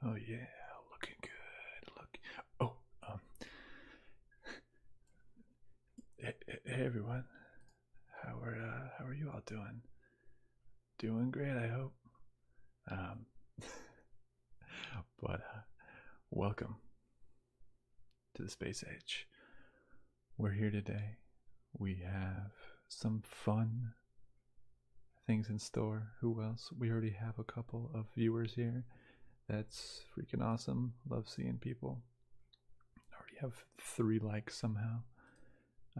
Oh yeah, looking good. Look. Oh, um, Hey, everyone, how are uh, how are you all doing? Doing great, I hope. Um, but uh, welcome to the space age. We're here today. We have some fun things in store. Who else? We already have a couple of viewers here. That's freaking awesome. Love seeing people. I already have three likes somehow,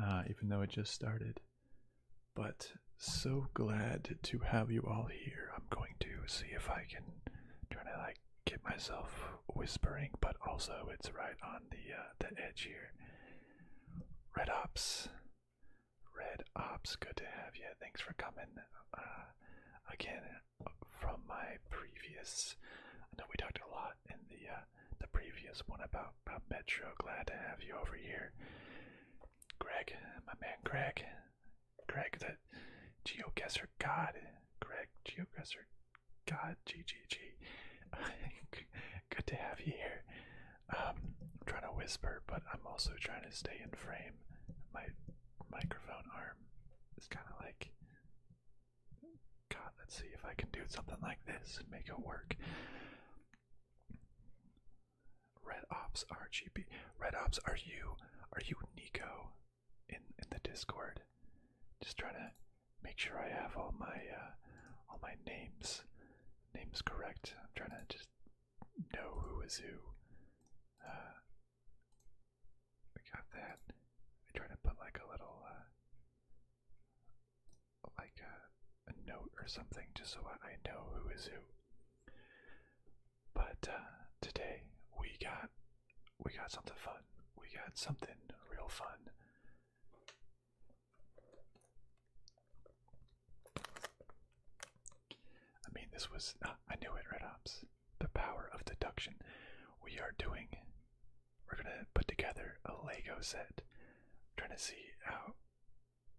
uh, even though it just started. But so glad to have you all here. I'm going to see if I can try to like get myself whispering, but also it's right on the uh, the edge here. Red Ops, Red Ops, good to have you. Thanks for coming. Uh, again, from my previous. I know we talked a lot in the uh, the previous one about about Metro. Glad to have you over here, Greg, my man Greg, Greg the geoguesser god, Greg geoguesser god, GGG. Good to have you here. I'm um, trying to whisper, but I'm also trying to stay in frame. My microphone arm is kind of like God, let's see if I can do something like this and make it work. Red Ops RGB. Red Ops, are you are you Nico in in the Discord? Just trying to make sure I have all my uh, all my names names correct. I'm trying to just know who is who. Uh, we got that. I try to put like a little, uh, like uh, a, note or something just so I know who is who. But uh, today we got we got something fun. We got something real fun. I mean, this was uh, I knew it, Red Ops the power of deduction. We are doing, we're going to put together a Lego set. trying to see how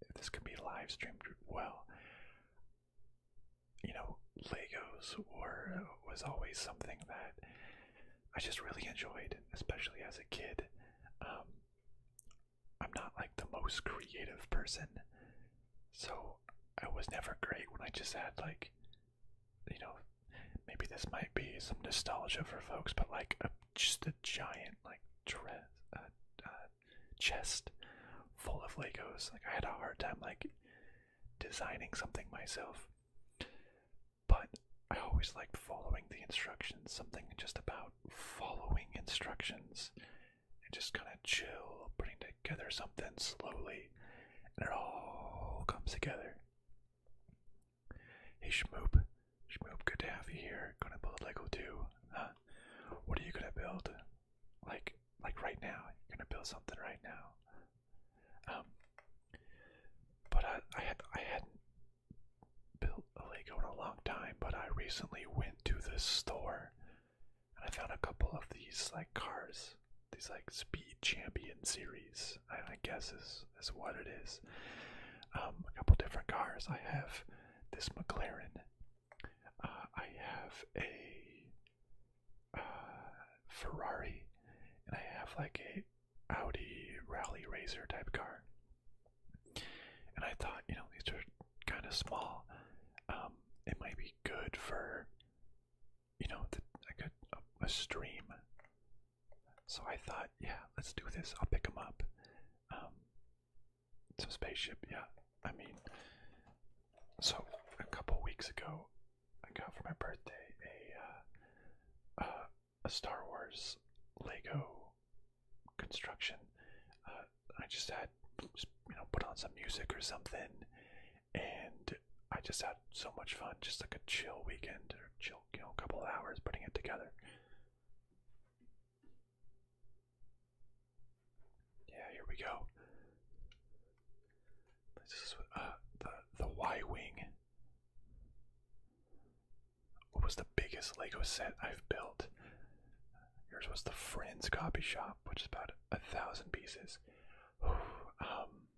if this can be live streamed well. You know, Legos were was always something that I just really enjoyed, especially as a kid. Um, I'm not like the most creative person, so I was never great when I just had like you know, maybe this might be some nostalgia for folks, but like just a giant like chest full of Legos. Like I had a hard time like designing something myself, but I always liked following the instructions. Something just about following instructions and just kind of chill, putting together something slowly, and it all comes together. Hey Shmoop, Shmoop, good to have you here. Gonna build Lego too. What are you gonna build? Like, like right now? You're gonna build something right now? Um, but I, had, I hadn't built a Lego in a long time. But I recently went to this store, and I found a couple of these like cars these like speed champion series, I guess is is what it is. Um, a couple different cars. I have this McLaren. Uh, I have a uh, Ferrari, and I have like a Audi rally racer type car. And I thought, you know, these are kind of small. Um, it might be good for you know, the, like a, stream. So I thought, yeah, let's do this. I'll pick them up. Um, so spaceship, yeah. I mean, so a couple weeks ago, I got for my birthday a uh, a Star Wars Lego construction. Uh, I just had, you know, put on some music or something, and I just had so much fun, just like a chill weekend or chill, you know, couple of hours putting it together. Yeah, here we go. This is uh, the the Y wing. What was the biggest Lego set I've built? Yours was the Friends Copy Shop, which is about a thousand pieces. um,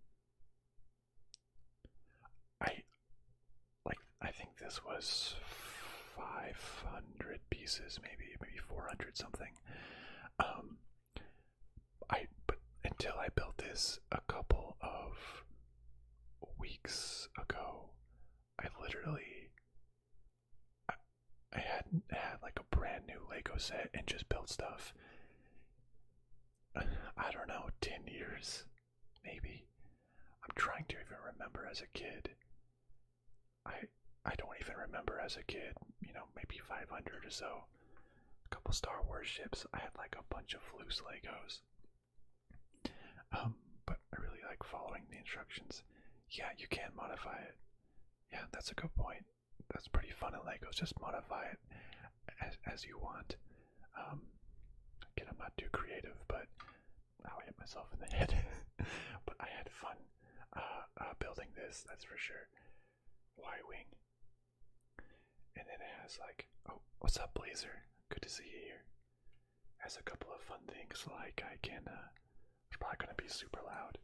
I like I think this was 500 pieces maybe maybe 400 something um I but until I built this a couple of weeks ago I literally I, I hadn't had like a brand new Lego set and just built stuff I don't know, 10 years, maybe. I'm trying to even remember as a kid. I I don't even remember as a kid, you know, maybe 500 or so. A couple Star Wars ships. I had like a bunch of loose Legos. Um, but I really like following the instructions. Yeah, you can modify it. Yeah, that's a good point. That's pretty fun in Legos. Just modify it as, you want. Um, again, I'm not too creative, but I'll hit myself in the head. but I had fun uh, uh, building this, that's for sure. Y-wing, and it has like, oh, what's up, Blazer? Good to see you here. Has a couple of fun things like I can. Uh, it's probably gonna be super loud,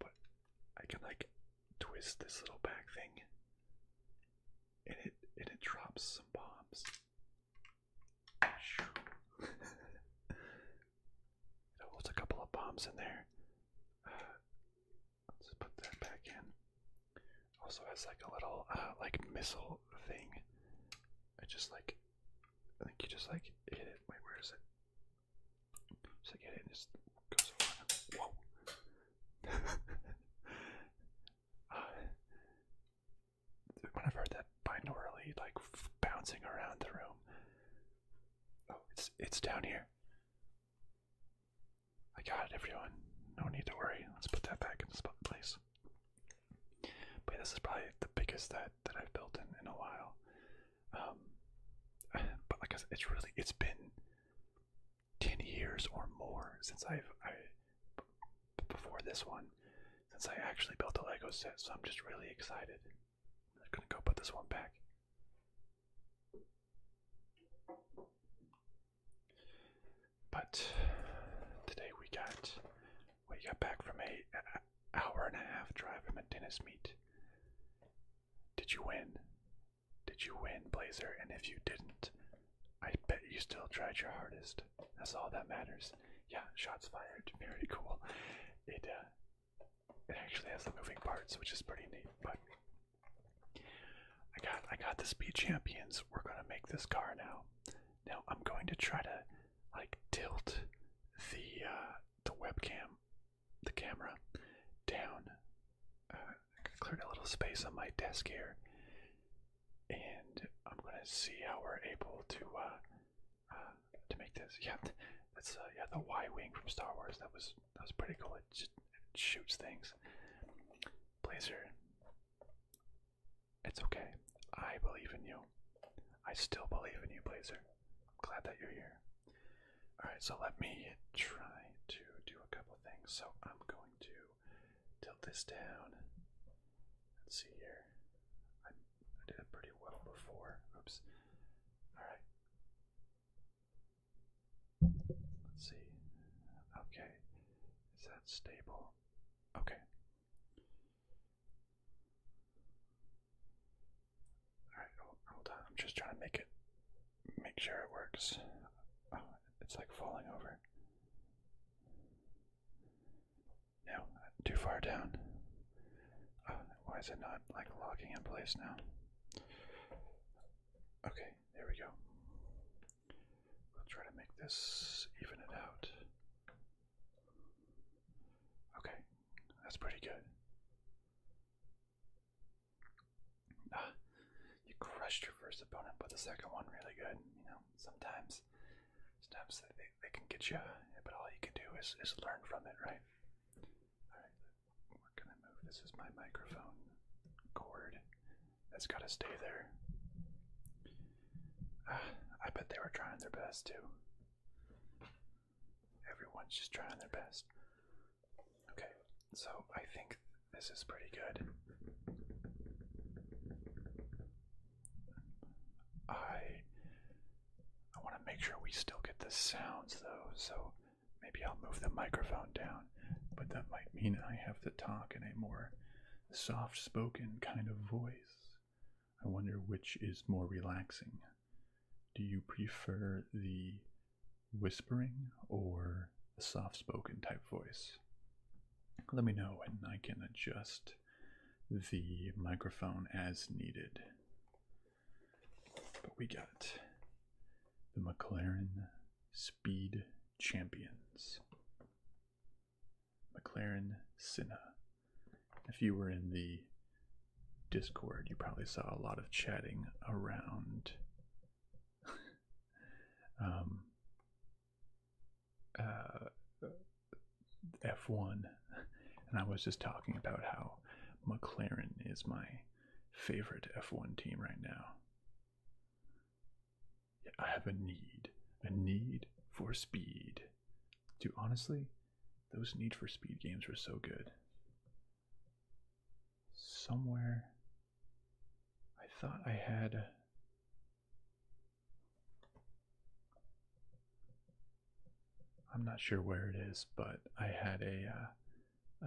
but I can like twist this little back thing, and it and it drops some bombs. it holds a couple of bombs in there. Uh, let's put that back in. Also has like a little uh, like missile thing. I just like I think you just like hit it. Wait, where is it? Just like it just goes. Around. Whoa! when I've heard that binaurally, like bouncing around the room. Oh, it's it's down here. I got it, everyone. No need to worry. Let's put that back in its place. But this is probably the biggest that that I've built in in a while. Um, but like I said, it's really it's been ten years or more since I've I before this one, since I actually built a Lego set, so I'm just really excited. I'm gonna go put this one back. But today we got we got back from a, hour and a half drive from a tennis meet. Did you win? Did you win, Blazer? And if you didn't, I bet you still tried your hardest. That's all that matters. Yeah, shots fired. Very cool. It uh, it actually has the moving parts, which is pretty neat. But I got I got the speed champions. We're gonna make this car now. Now I'm going to try to like tilt the uh, the webcam, the camera down. Uh, I'm clear a little space on my desk here, and I'm gonna see how we're able to uh, uh, to make this. Yeah, that's uh, yeah the Y wing from Star Wars. That was that was pretty cool. It, just, it shoots things. Blazer, it's okay. I believe in you. I still believe in you, Blazer. I'm glad that you're here. All right, so let me try to do a couple things. So I'm going to tilt this down. Let's see here. I, did it pretty well before. Oops. Alright. Let's see. Okay. Is that stable? Okay. Alright, hold on. I'm just trying to make it make sure it works. Oh, it's like falling over. No, too far down. Oh, why is it not like locking in place now? Okay, there we go. We'll try to make this even it out. Okay, that's pretty good. Uh, you crushed your first opponent, but the second one really good. You know, sometimes, sometimes they, they, can get you, but all you can do is, is learn from it, right? All right, we're gonna move. This is my microphone cord. That's gotta stay there. Uh, I bet they were trying their best too. Everyone's just trying their best. Okay, so I think this is pretty good. I I want to make sure we still get the sounds though, so maybe I'll move the microphone down, but that might mean I have to talk in a more soft spoken kind of voice. I wonder which is more relaxing. Do you prefer the whispering or a soft spoken type voice. Let me know and I can adjust the microphone as needed. But we got the McLaren Speed Champions. McLaren Cinna. If you were in the Discord, you probably saw a lot of chatting around um, uh, F1, and I was just talking about how McLaren is my favorite F1 team right now. I have a need, a need for speed. To honestly, those Need for Speed games were so good. Somewhere I thought I had. I'm not sure where it is, but I had a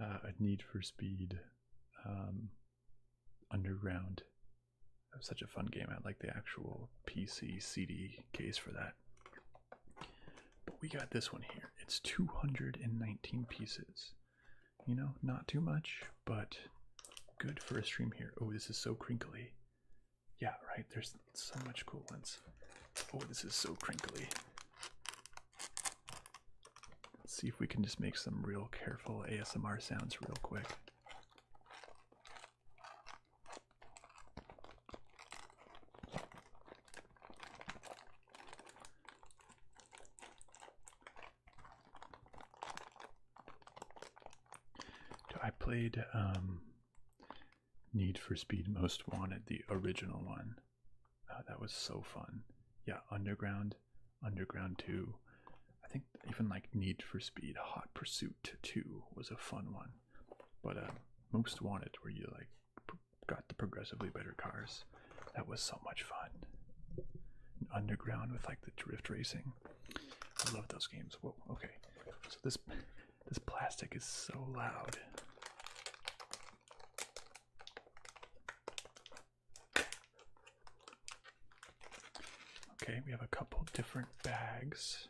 uh, uh, Need for Speed um, Underground. such a fun game. I like the actual PC CD case for that. But we got this one here. It's 219 pieces. You know, not too much, but good for a stream here. Oh, this is so crinkly. Yeah, right. There's so much cool ones. Oh, this is so crinkly. Let's see if we can just make some real careful ASMR sounds real quick. I played um, Need for Speed Most Wanted, the original one. Uh, that was so fun. Yeah, Underground, Underground 2. I think even like Need for Speed Hot Pursuit 2 was a fun one. But uh, Most Wanted, where you like got the progressively better cars, that was so much fun underground with like the drift racing. I love those games. Whoa, okay. So this this plastic is so loud. Okay, we have a couple different bags.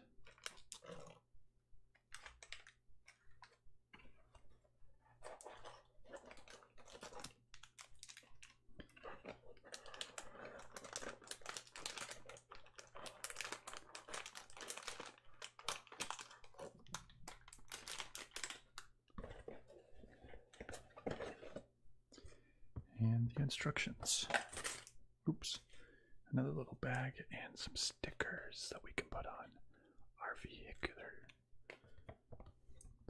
And the instructions. Oops. Another little bag and some stickers that we can put on our vehicular.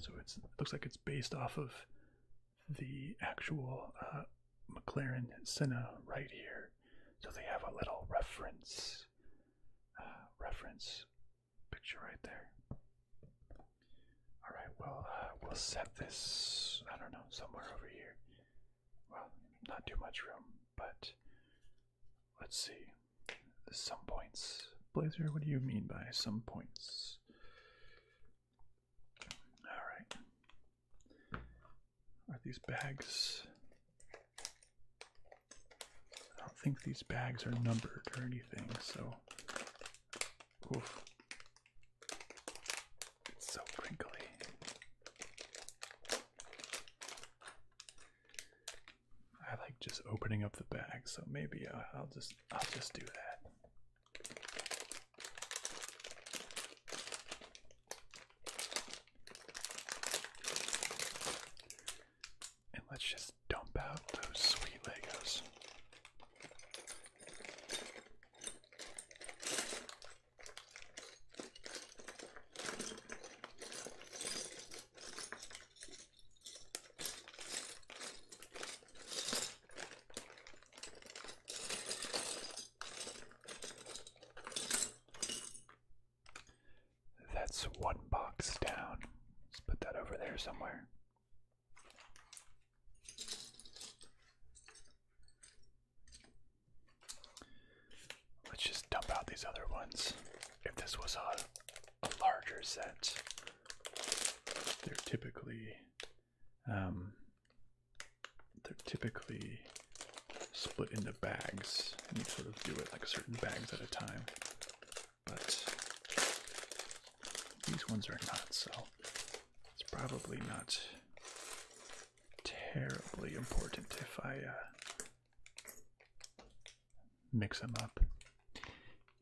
So it's, it looks like it's based off of the actual uh, McLaren Senna right here. So they have a little reference, uh, reference picture right there. All right, well, uh, we'll set this, I don't know, somewhere over here. Well, not too much room, but let's see. Some points. Blazer, what do you mean by some points? All right. Are these bags? I don't think these bags are numbered or anything, so. so crinkly. I like just opening up the bag, so maybe I'll just I'll just do that. And let's just dump out those sweet Legos. That's one box down. Let's put that over there somewhere. Let's just dump out these other ones. If this was a, larger set, they're typically um, they're typically split into bags, and you sort of do it like certain bags at a time. But these ones are not, so it's probably not terribly important if I uh, mix them up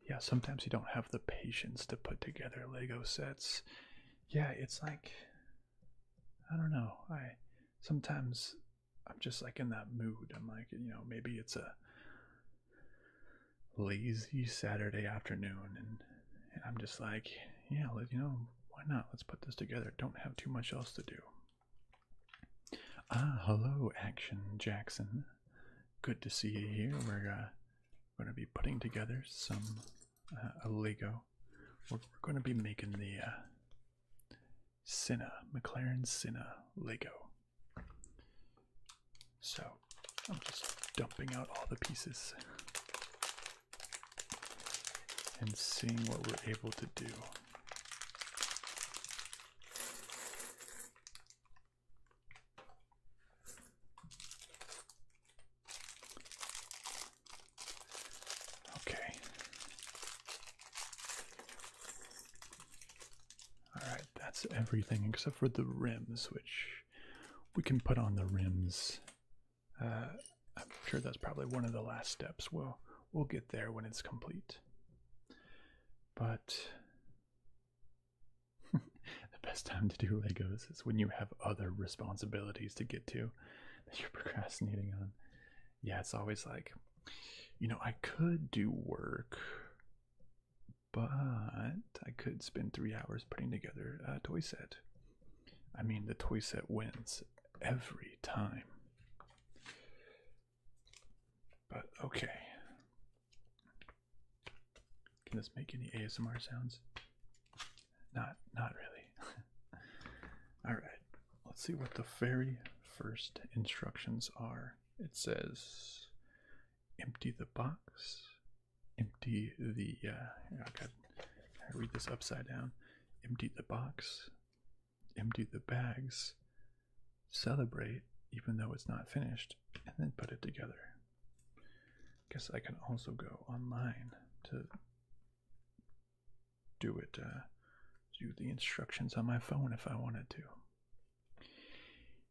yeah, sometimes you don't have the patience to put together Lego sets. Yeah, it's like I don't know. I sometimes I'm just like in that mood. I'm like, you know, maybe it's a lazy Saturday afternoon and and I'm just like, yeah, you know, why not? Let's put this together. Don't have too much else to do. Ah, hello, Action Jackson. Good to see you here. We're uh, we're going to be putting together some uh, Lego. We're, going to be making the uh, McLaren Senna Lego. So I'm just dumping out all the pieces and seeing what we're able to do. Okay. Alright, that's everything except for the rims, which we can put on the rims. Uh, I'm sure that's probably one of the last steps. we we'll get there when it's complete. But the best time to do Legos is when you have other responsibilities to get to that you're procrastinating on. Yeah, it's always like, you know, I could do work, but I could spend three hours putting together a toy set. I mean, the toy set wins every time. But okay. Can this make any ASMR sounds? Not not really. Alright, let's see what the very first instructions are. It says empty the box, empty the uh I read this upside down. Empty the box, empty the bags, celebrate even though it's not finished, and then put it together. Guess I can also go online to do it, uh, do the instructions on my phone if I wanted to.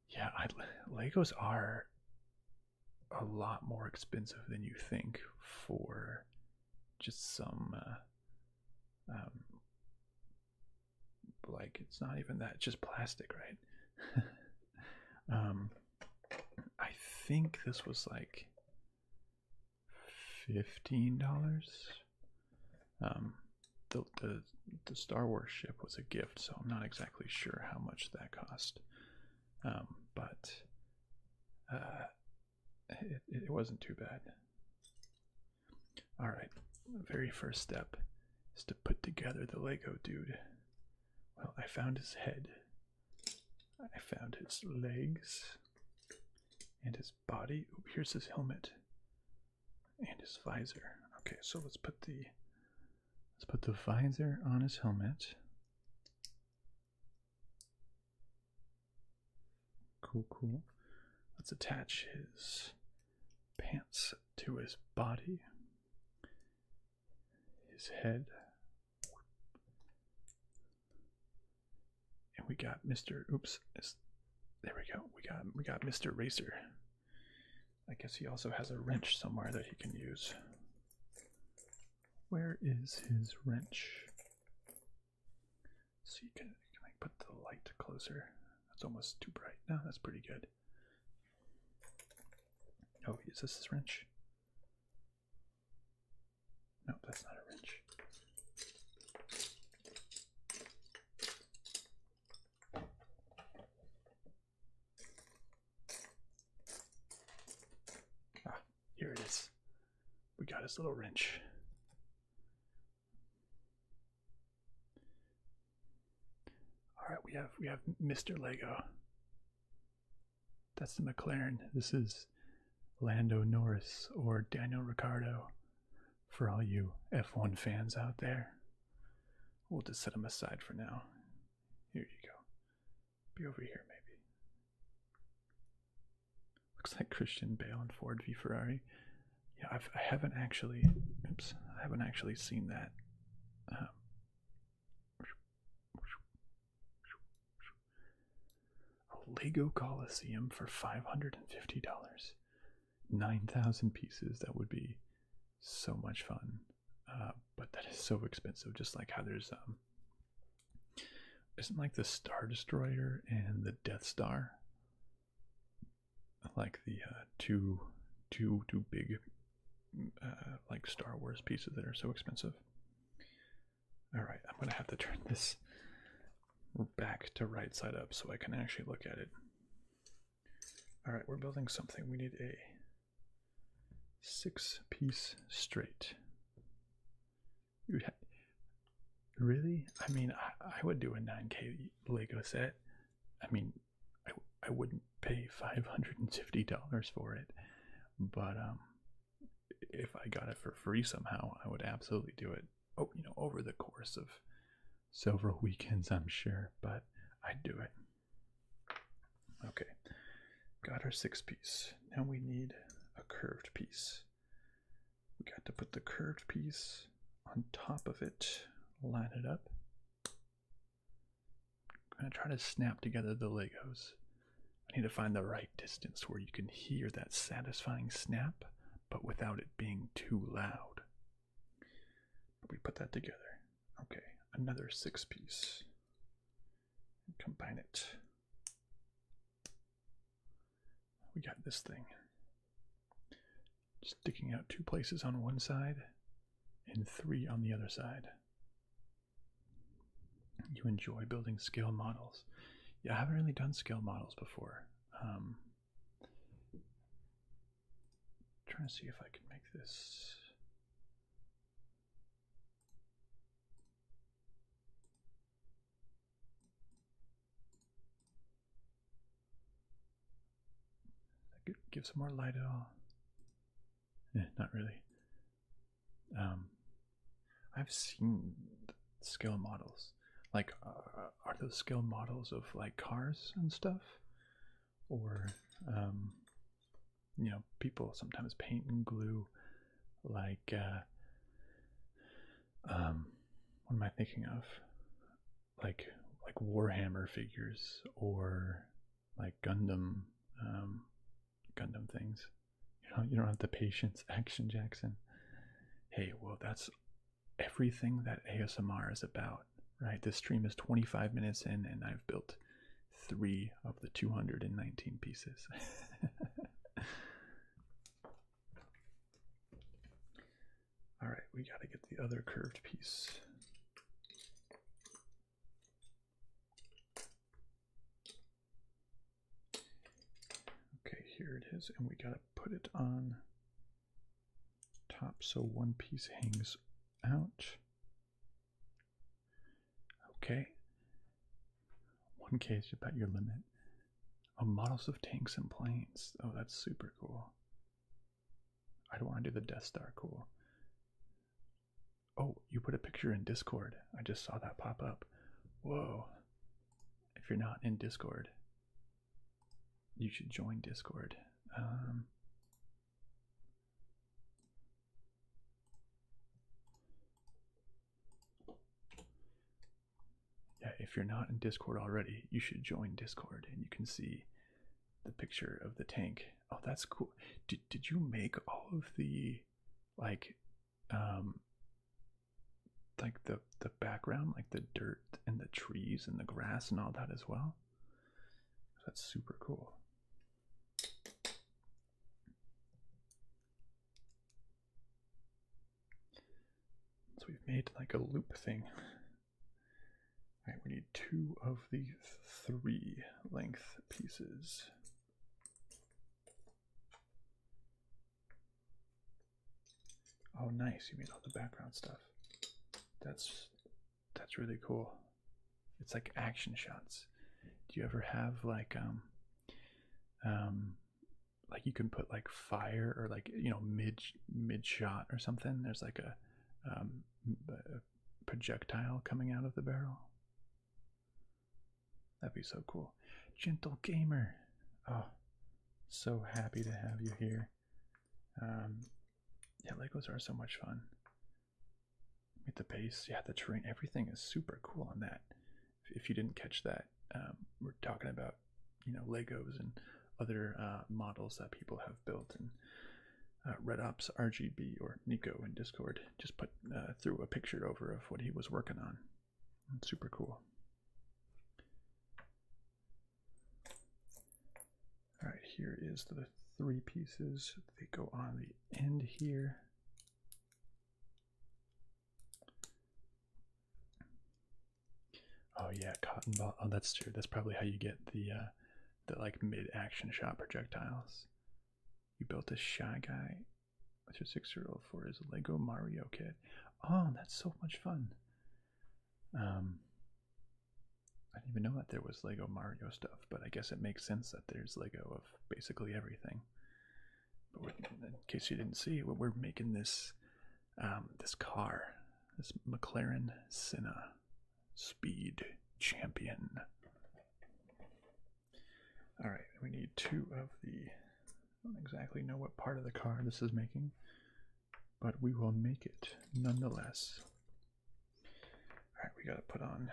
Yeah, I, Legos are a lot more expensive than you think for just some, uh, um, like it's not even that, just plastic, right? um, I think this was like fifteen dollars. Um, the, the the Star Wars ship was a gift, so I'm not exactly sure how much that cost. Um, but uh, it it wasn't too bad. All right, the very first step is to put together the Lego dude. Well, I found his head I found his legs and his body. Ooh, here's his helmet and his visor. Okay, so let's put the let's put the visor on his helmet. Cool, cool. Let's attach his pants to his body, his head, and we got Mr. Oops. There we go. We got we got Mr. Racer. I guess he also has a wrench somewhere that he can use. Where is his wrench? So you can can I put the light closer? That's almost too bright. No, that's pretty good. Oh, is this his wrench? Nope, that's not a wrench. Ah, here it is. We got his little wrench. All right, we have we have Mr. Lego. That's the McLaren. This is Lando Norris or Daniel Ricciardo for all you F1 fans out there. We'll just set them aside for now. Here you go. Be over here, maybe. Looks like Christian Bale and Ford v Ferrari. Yeah, I've, I have not actually. Oops, I haven't actually seen that. Um, a Lego Coliseum for $550. 9,000 pieces. That would be so much fun. Uh, but that is so expensive. Just like how there's, um, isn't like the Star Destroyer and the Death Star like the uh, too big uh, like Star Wars pieces that are so expensive. All right, I'm gonna have to turn this back to right side up so I can actually look at it. All right, we're building something. We need a six-piece straight. really? I mean, I, I would do a 9K Lego set. I mean, I, I wouldn't pay $550 for it. But um, if I got it for free somehow, I would absolutely do it. Oh, you know, over the course of several weekends, I'm sure, but I'd do it. Okay, got our six piece. Now we need a curved piece. We got to put the curved piece on top of it, line it up. I'm gonna try to snap together the Legos. I need to find the right distance where you can hear that satisfying snap, but without it being too loud. But we put that together. Okay, another six piece. Combine it. We got this thing. Sticking out two places on one side and three on the other side you enjoy building scale models. Yeah, I haven't really done scale models before. Um, trying to see if I can make this. give some more light at all. Eh, not really. Um, I've seen scale models. Like, uh, are those scale models of like cars and stuff, or um, you know, people sometimes paint and glue, like uh, um, what am I thinking of? Like, like Warhammer figures or like Gundam, um, Gundam things. You know, you don't have the patience, Action Jackson. Hey, well that's everything that ASMR is about, right? This stream is 25 minutes in, and I've built three of the 219 pieces. All right, we got to get the other curved piece. Okay, here it is, and we gotta put it on top so one piece hangs out. Okay. One case about your limit. Oh, models of tanks and planes. Oh, that's super cool. I don't want to do the Death Star cool. Oh, you put a picture in Discord. I just saw that pop up. Whoa. If you're not in Discord, you should join Discord. Um, yeah, if you're not in Discord already, you should join Discord and you can see the picture of the tank. Oh, that's cool. Did, did you make all of the like um like the the background like the dirt and the trees and the grass and all that as well that's super cool so we've made like a loop thing all right we need two of the three length pieces Oh, nice. You mean all the background stuff. That's that's really cool. It's like action shots. Do you ever have like um um like you can put like fire or like you know mid mid shot or something? There's like a um, a projectile coming out of the barrel. That'd be so cool. Gentle Gamer. Oh, so happy to have you here. Um, yeah, Legos are so much fun. Meet the base. Yeah, the terrain. Everything is super cool on that. If, you didn't catch that, um, we're talking about you know Legos and other uh, models that people have built and uh, Red Ops RGB or Nico in Discord just put uh, threw a picture over of what he was working on. super cool. All right, here is the three pieces. They go on the end here. Oh yeah, cotton ball. Oh, that's true. That's probably how you get the uh, the like mid-action shot projectiles. You built a shy guy What's your six-year-old for? his Lego Mario kit. Oh, that's so much fun. Um, I didn't even know that there was Lego Mario stuff, but I guess it makes sense that there's Lego of basically everything. But in case you didn't see, we're making this um, this car, this McLaren Senna Speed Champion. All right, we need two of the. I don't exactly know what part of the car this is making, but we will make it nonetheless. All right, we got to put on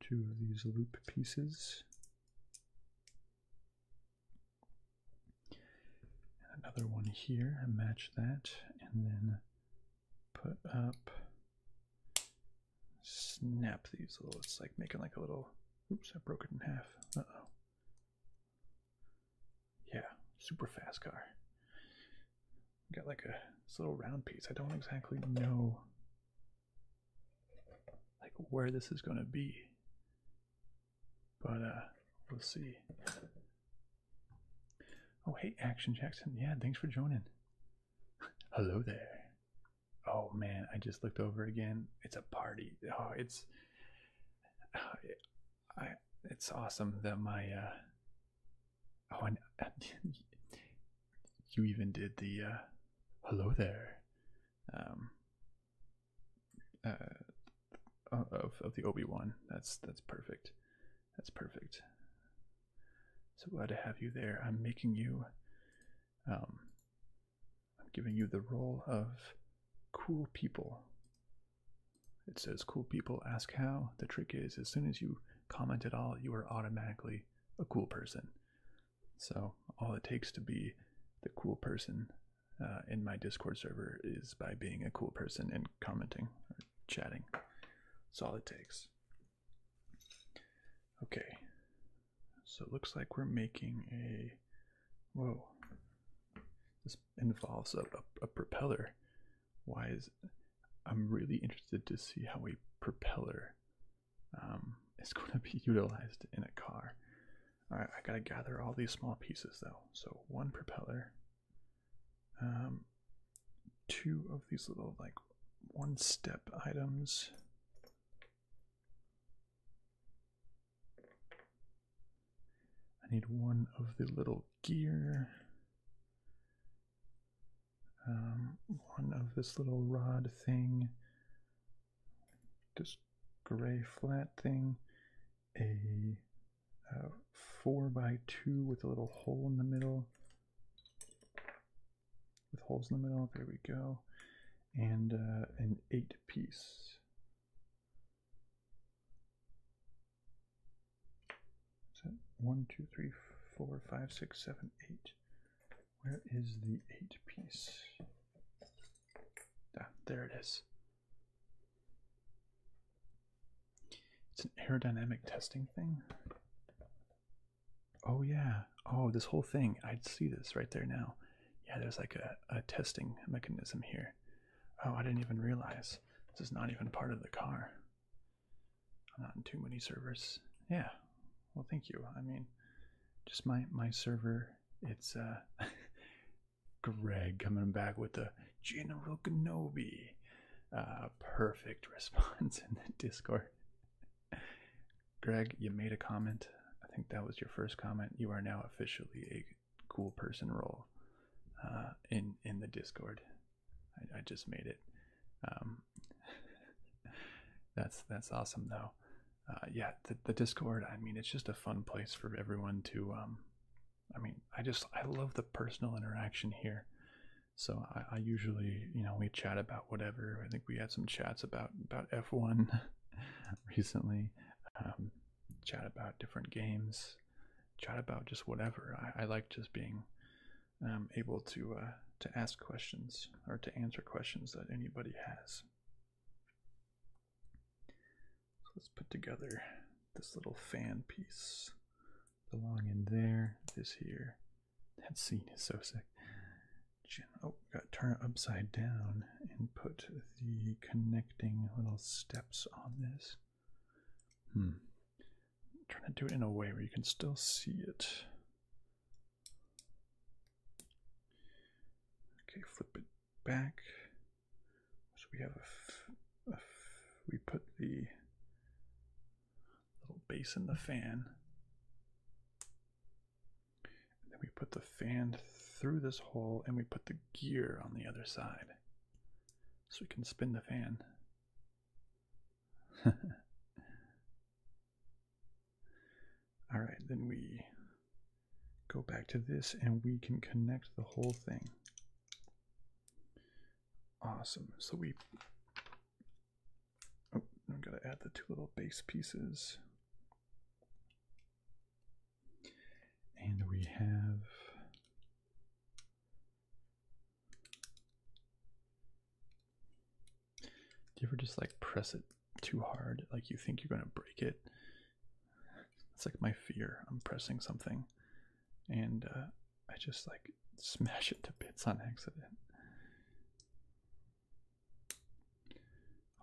two of these loop pieces. another one here, match that, and then put up snap these little, it's like making like a little, oops, I broke it in half. Uh oh. Yeah, super fast car. Got like a little round piece. I don't exactly know like where this is gonna be. But uh we'll see. Oh hey Action Jackson, yeah, thanks for joining. Hello there oh man, I just looked over again. It's a party. Oh, it's I it's awesome that my uh, oh and you even did the uh, hello there um uh of of the Obi-Wan. That's that's perfect. That's perfect. So glad to have you there. I'm making you um, I'm giving you the role of cool people. It says cool people ask how. The trick is as soon as you comment at all, you are automatically a cool person. So all it takes to be the cool person uh, in my Discord server is by being a cool person and commenting or chatting. That's all it takes. Okay, so it looks like we're making a. Whoa. This involves a, propeller. Why is. I'm really interested to see how a propeller um, is going to be utilized in a car. Alright, I gotta gather all these small pieces though. So one propeller, um, two of these little like one step items, I need one of the little gear. Um, one of this little rod thing, this gray flat thing, a uh, four by two with a little hole in the middle, with holes in the middle. There we go. And uh, an eight piece. Is one, two, three, four, five, six, seven, eight? Where is the eight piece? Ah, there it is. It's an aerodynamic testing thing. Oh yeah. Oh, this whole thing. I'd see this right there now. Yeah, there's like a, a testing mechanism here. Oh, I didn't even realize. This is not even part of the car. not in too many servers. Yeah. Well, thank you. I mean, just my my server. It's uh, Greg coming back with the General Kenobi. Uh, perfect response in the Discord. Greg, you made a comment. I think that was your first comment. You are now officially a cool person role uh, in in the Discord. I, just made it. Um, that's that's awesome though. Uh, yeah, the, the Discord. I mean, it's just a fun place for everyone to. Um, I mean, I just I love the personal interaction here. So I usually, you know, we chat about whatever. I think we had some chats about about F1 recently, um, chat about different games, chat about just whatever. I, like just being um, able to uh, to ask questions or to answer questions that anybody has. So let's put together this little fan piece. The long end there, this here. That scene is so sick oh, got to turn it upside down and put the connecting little steps on this. Hmm. I'm trying to do it in a way where you can still see it. Okay, flip it back. So we have a we put the little base in the fan then we put the fan through this hole and we put the gear on the other side. So we can spin the fan. Alright, then we go back to this and we can connect the whole thing. Awesome. So we, oh, I'm gonna add the two little base pieces. And we have do you ever just like press it too hard? Like you think you're gonna break it? It's like my fear. I'm pressing something and uh, I just like smash it to bits on accident.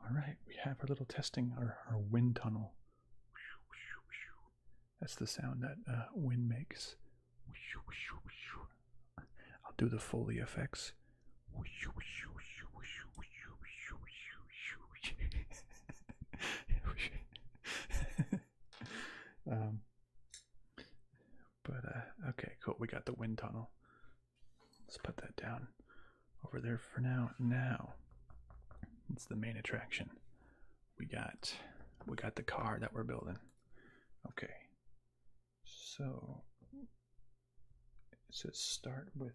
All right, we have our little testing, our, wind tunnel. That's the sound that uh, wind makes. I'll do the Foley effects. Um, but uh, okay, cool. We got the wind tunnel. Let's put that down over there for now. Now, it's the main attraction. We got we got the car that we're building. Okay. So it says start with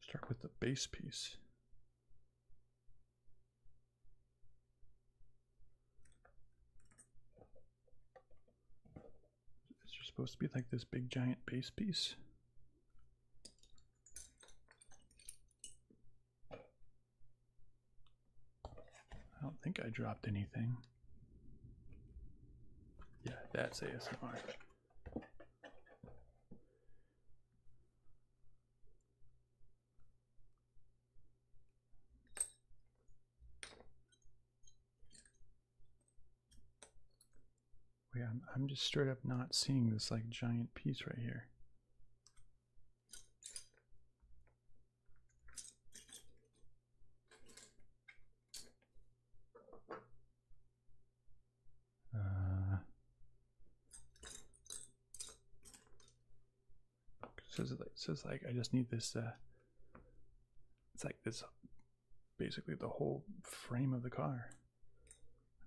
start with the base piece. Is supposed to be like this big giant base piece? I don't think I dropped anything. Yeah, that's ASMR. Wait, I'm, I'm just straight up not seeing this like giant piece right here. Uh, so it's like, I just need this. Uh, it's like this, basically the whole frame of the car.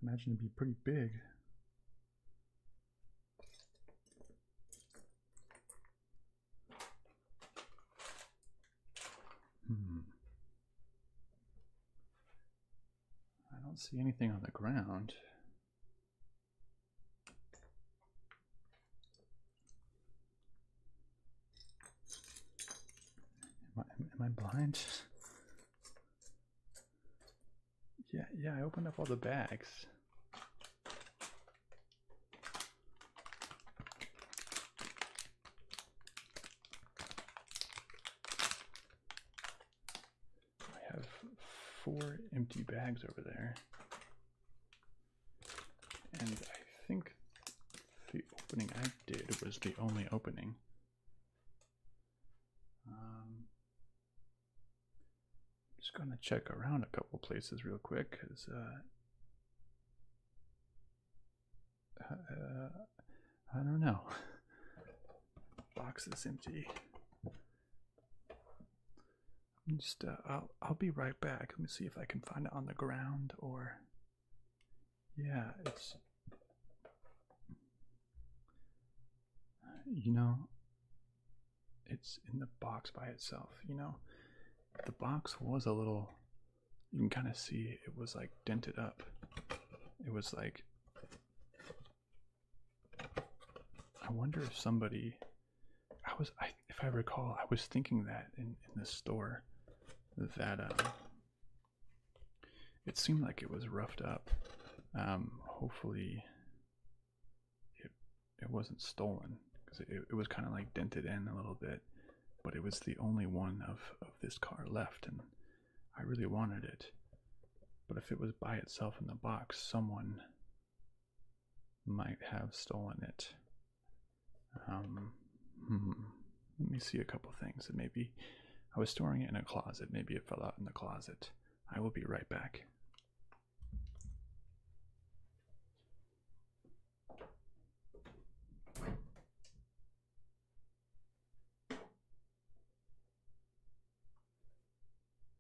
imagine it'd be pretty big. Hmm. I don't see anything on the ground. Am I, am I blind? Yeah, yeah, I opened up all the bags. I have four empty bags over there. And I think the opening I did was the only opening. Um, just gonna check around a couple places real quick, cause uh, uh I don't know. Box is empty just uh, I'll I'll be right back. Let me see if I can find it on the ground or yeah, it's you know it's in the box by itself, you know. The box was a little you can kind of see it was like dented up. It was like I wonder if somebody I was, if I recall, I was thinking that in in the store, that um, it seemed like it was roughed up. Um, hopefully, it it wasn't stolen because it, it was kind of like dented in a little bit, but it was the only one of of this car left, and I really wanted it. But if it was by itself in the box, someone might have stolen it. Um, hmm. Let me see a couple things that maybe I was storing it in a closet. Maybe it fell out in the closet. I will be right back.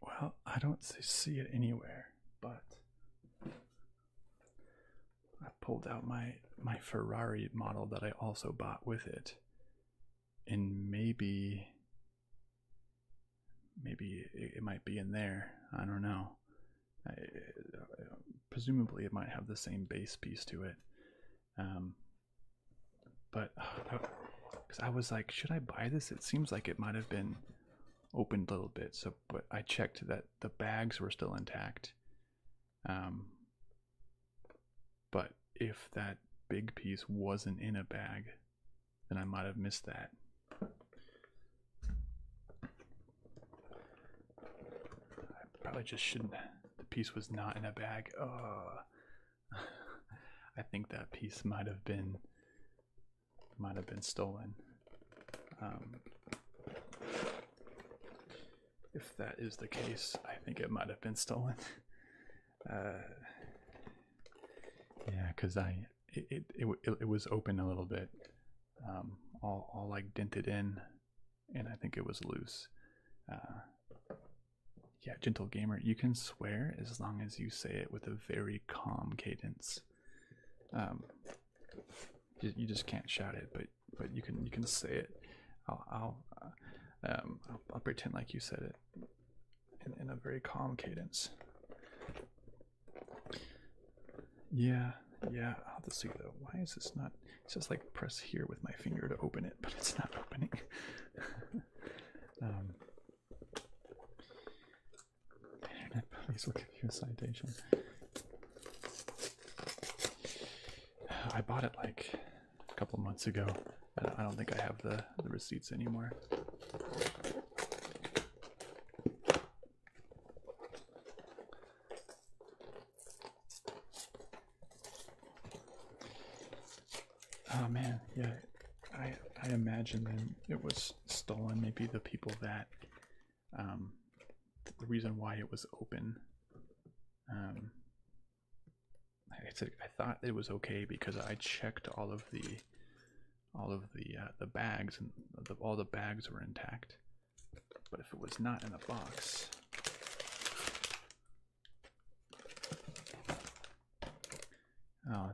Well, I don't see it anywhere, but I pulled out my my Ferrari model that I also bought with it. And maybe maybe it might be in there. I don't know. I, presumably it might have the same base piece to it. Um but because I was like, should I buy this? It seems like it might have been opened a little bit. So, but I checked that the bags were still intact. Um, but if that big piece wasn't in a bag, then I might have missed that. I probably just shouldn't. The piece was not in a bag. Oh, I think that piece might have been might have been stolen. Um, if that is the case, I think it might have been stolen. Uh, yeah, because I it it, it it, was open a little bit, um, all all like dented in, and I think it was loose. Uh, yeah, gentle gamer, you can swear as long as you say it with a very calm cadence. Um, you, just can't shout it, but but you can you can say it. I'll I'll, uh, um, pretend like you said it in, a very calm cadence. Yeah, yeah. I'll have to see though. Why is this not? It's just like press here with my finger to open it, but it's not opening. Um, the internet police will give you a citation. I bought it like a couple months ago. I don't think I have the, the receipts anymore. Oh man, yeah, I I imagine then it was stolen. Maybe the people that um, the reason why it was open. Um, I said I thought it was okay because I checked all of the all of the uh, the bags and all the bags were intact. But if it was not in a box, oh,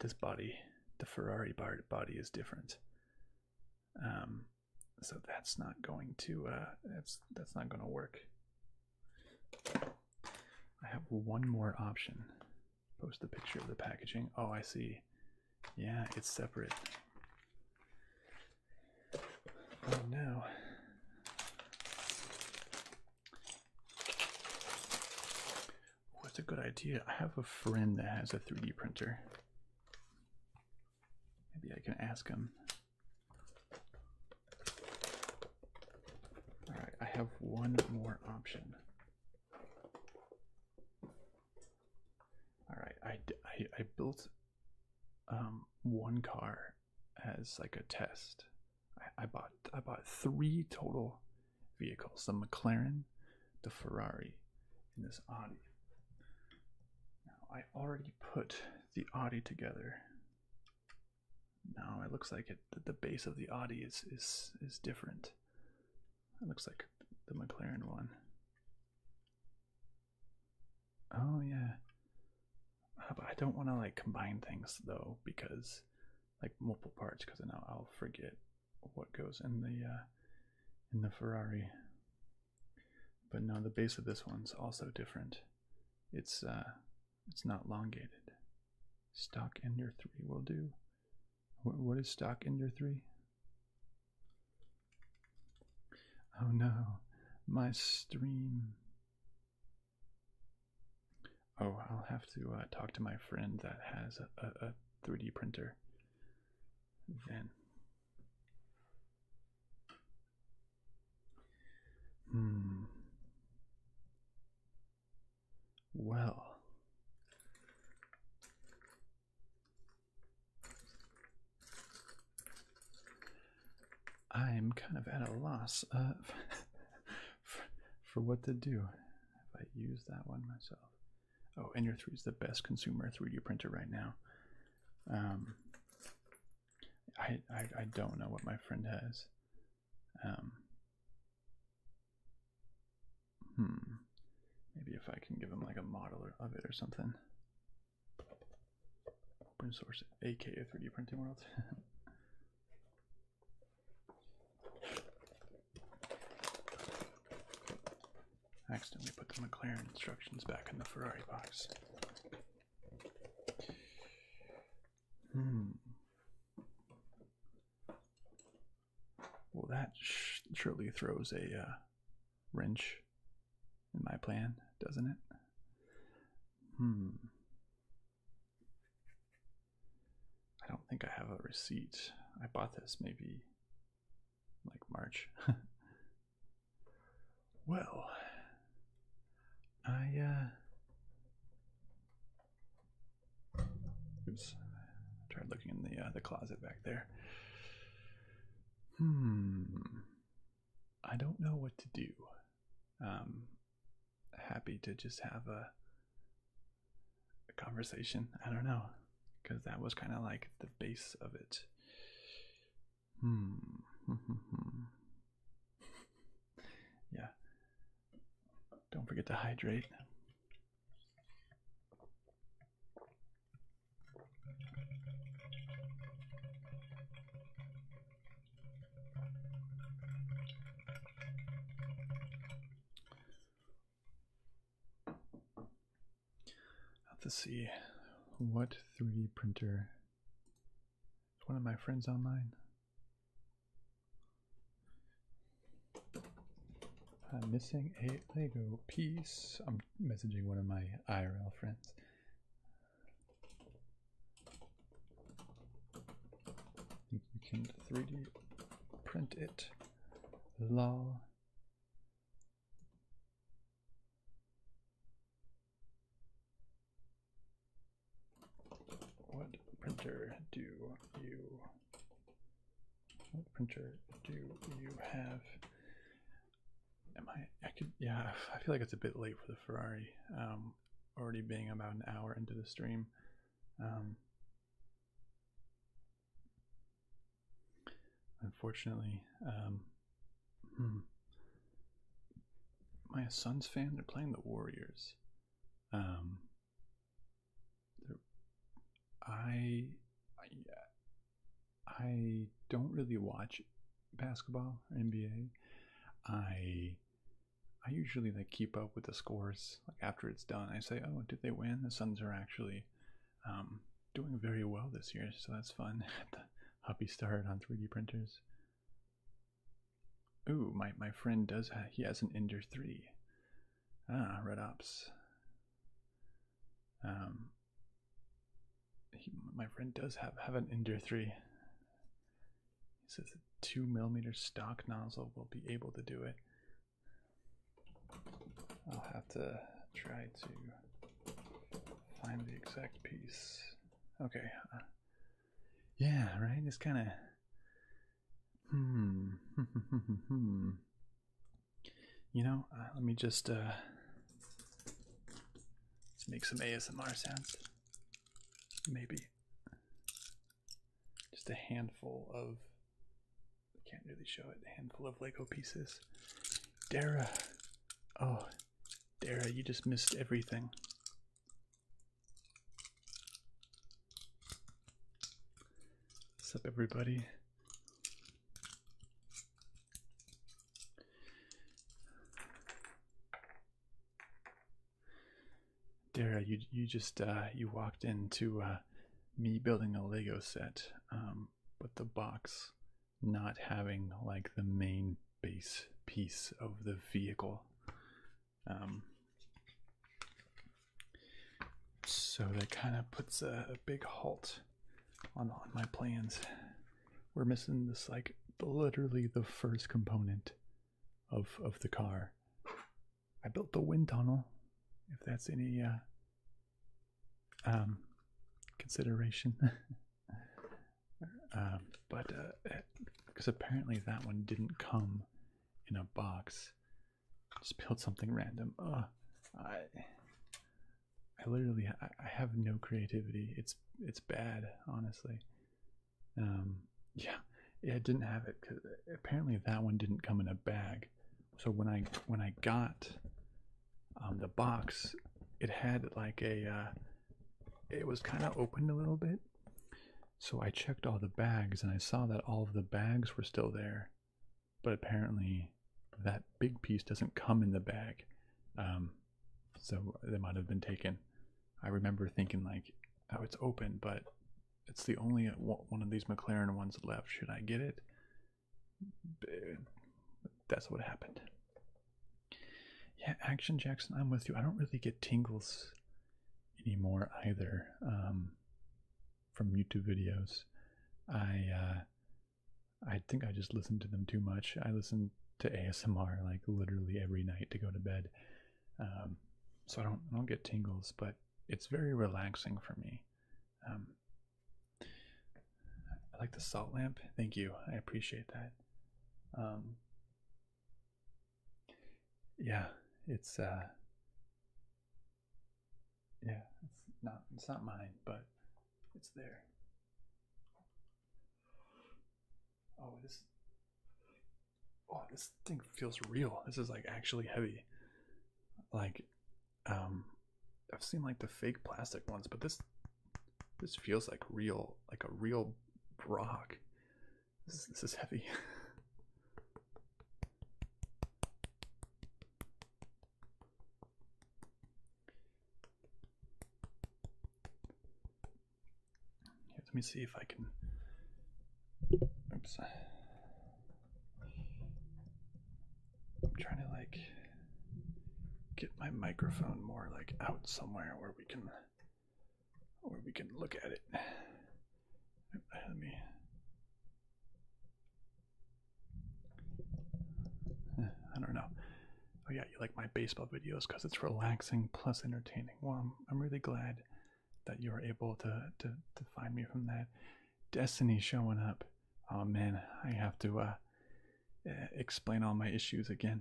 this body, the Ferrari body is different. Um, so that's not going to uh, that's that's not going to work. I have one more option. Post the picture of the packaging. Oh, I see. Yeah, it's separate. Oh no. What's a good idea? I have a friend that has a 3D printer. Maybe I can ask him. Alright, I have one more option. Alright, I, I, I built um, one car as like a test. I, I bought I bought three total vehicles the McLaren, the Ferrari, and this Audi. Now, I already put the Audi together. Now it looks like it, the base of the Audi is, is, is different. It looks like the McLaren one. Oh, yeah. Uh, but I don't want to like combine things though because like multiple parts because now I'll forget what goes in the uh, in the Ferrari. But no, the base of this one's also different. It's uh, it's not elongated. Stock Ender three will do. what is Stock Ender three? Oh no, my stream. Oh, I'll have to uh, talk to my friend that has a 3D printer then. Hmm. Well. I'm kind of at a loss of uh, for, for what to do if I use that one myself. Oh, Ender 3 is the best consumer 3D printer right now. Um, I, I, don't know what my friend has. Um, hmm. Maybe if I can give him like a model of it or something. Open source AKA 3D printing world. accidentally put the McLaren instructions back in the Ferrari box. Hmm. Well, that surely throws a uh, wrench in my plan, doesn't it? Hmm. I don't think I have a receipt. I bought this maybe like March. well, I, uh, oops, I tried looking in the, uh, the closet back there. Hmm, I don't know what to do. Um, happy to just have a a conversation. I don't know, because that was kind of like the base of it. Hmm. yeah. Don't forget to hydrate. Let's see what 3D printer is one of my friends online. I'm uh, missing a Lego piece. I'm messaging one of my IRL friends. I can 3D print it. Lol. What printer do you what printer do you have? Am I I could yeah, I feel like it's a bit late for the Ferrari. Um already being about an hour into the stream. Um Unfortunately, um, hmm. Am I a Suns fan? They're playing the Warriors. Um, I, I, I don't really watch basketball NBA. I I usually like keep up with the scores. Like after it's done, I say, "Oh, did they win? The Suns are actually um, doing very well this year, so that's fun. Happy hobby on 3D printers. Ooh, my my friend does. he has an Ender 3. Ah, Red Ops. Um, my friend does have have an Ender 3. He says a two millimeter stock nozzle will be able to do it. I'll have to try to find the exact piece. Okay. Uh, yeah, right? It's kind of. Hmm. you know, uh, let me just. Uh, let's make some ASMR sounds. Maybe. Just a handful of I Can't really show it. A handful of Lego pieces. Dara. Oh, Dara, you just missed everything. What's up, everybody? Dara, you you just uh, you walked into uh, me building a Lego set. Um, but the box not having like the main base piece of the vehicle. Um, so that kind of puts a, big halt on, on my plans. We're missing this like literally the first component of of the car. I built the wind tunnel. If that's any uh, um, consideration. um, but uh, because apparently that one didn't come in a box, just built something random. Oh, I, I literally I, have no creativity. It's it's bad, honestly. Um, yeah, it didn't have it because uh, apparently that one didn't come in a bag. So when I when I got um, the box it had like a uh, it was kind of opened a little bit so i checked all the bags and i saw that all of the bags were still there but apparently that big piece doesn't come in the bag um, so they might have been taken i remember thinking like oh it's open but it's the only one of these mclaren ones left should i get it that's what happened. Yeah, Action Jackson, I'm with you. I don't really get tingles anymore either um, from YouTube videos. I uh, I think I just listen to them too much. I listen to ASMR like literally every night to go to bed, um, so I don't don't get tingles, but it's very relaxing for me. Um, I like the salt lamp. Thank you. I appreciate that. Um, yeah, it's uh, yeah, it's not it's not mine, but it's there. Oh, this oh this thing feels real. This is like actually heavy. Like um I've seen like the fake plastic ones, but this this feels like real like a real rock. This is, this is heavy. let me see if I can. Oops. I'm trying to like get my microphone more like out somewhere where we can where we can look at it. Let me I don't know. Oh yeah, you like my baseball videos because it's relaxing plus entertaining. Well, I'm, I'm really glad that you were able to, to to find me from that. Destiny showing up. Oh man, I have to uh, eh, explain all my issues again.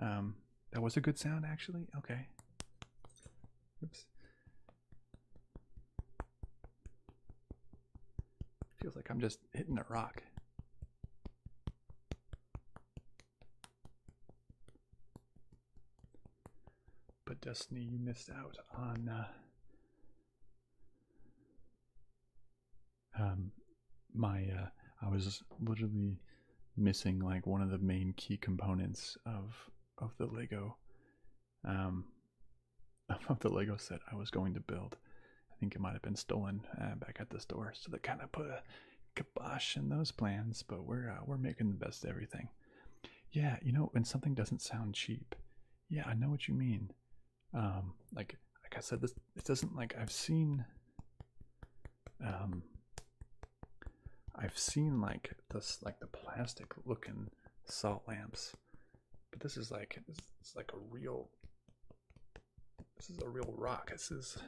Um, that was a good sound, actually. Okay. Oops. Feels like I'm just hitting a rock. But Destiny, you missed out on uh, um, my uh, I was literally missing like one of the main key components of of the Lego um, of the Lego set I was going to build. I think it might have been stolen uh, back at the store, so they kind of put a kibosh in those plans. But we're uh, we're making the best of everything. Yeah, you know, when something doesn't sound cheap, yeah, I know what you mean um, like like I said, this it doesn't like I've seen um, I've seen like this like the plastic looking salt lamps, but this is like it's, like a real this is a real rock. This is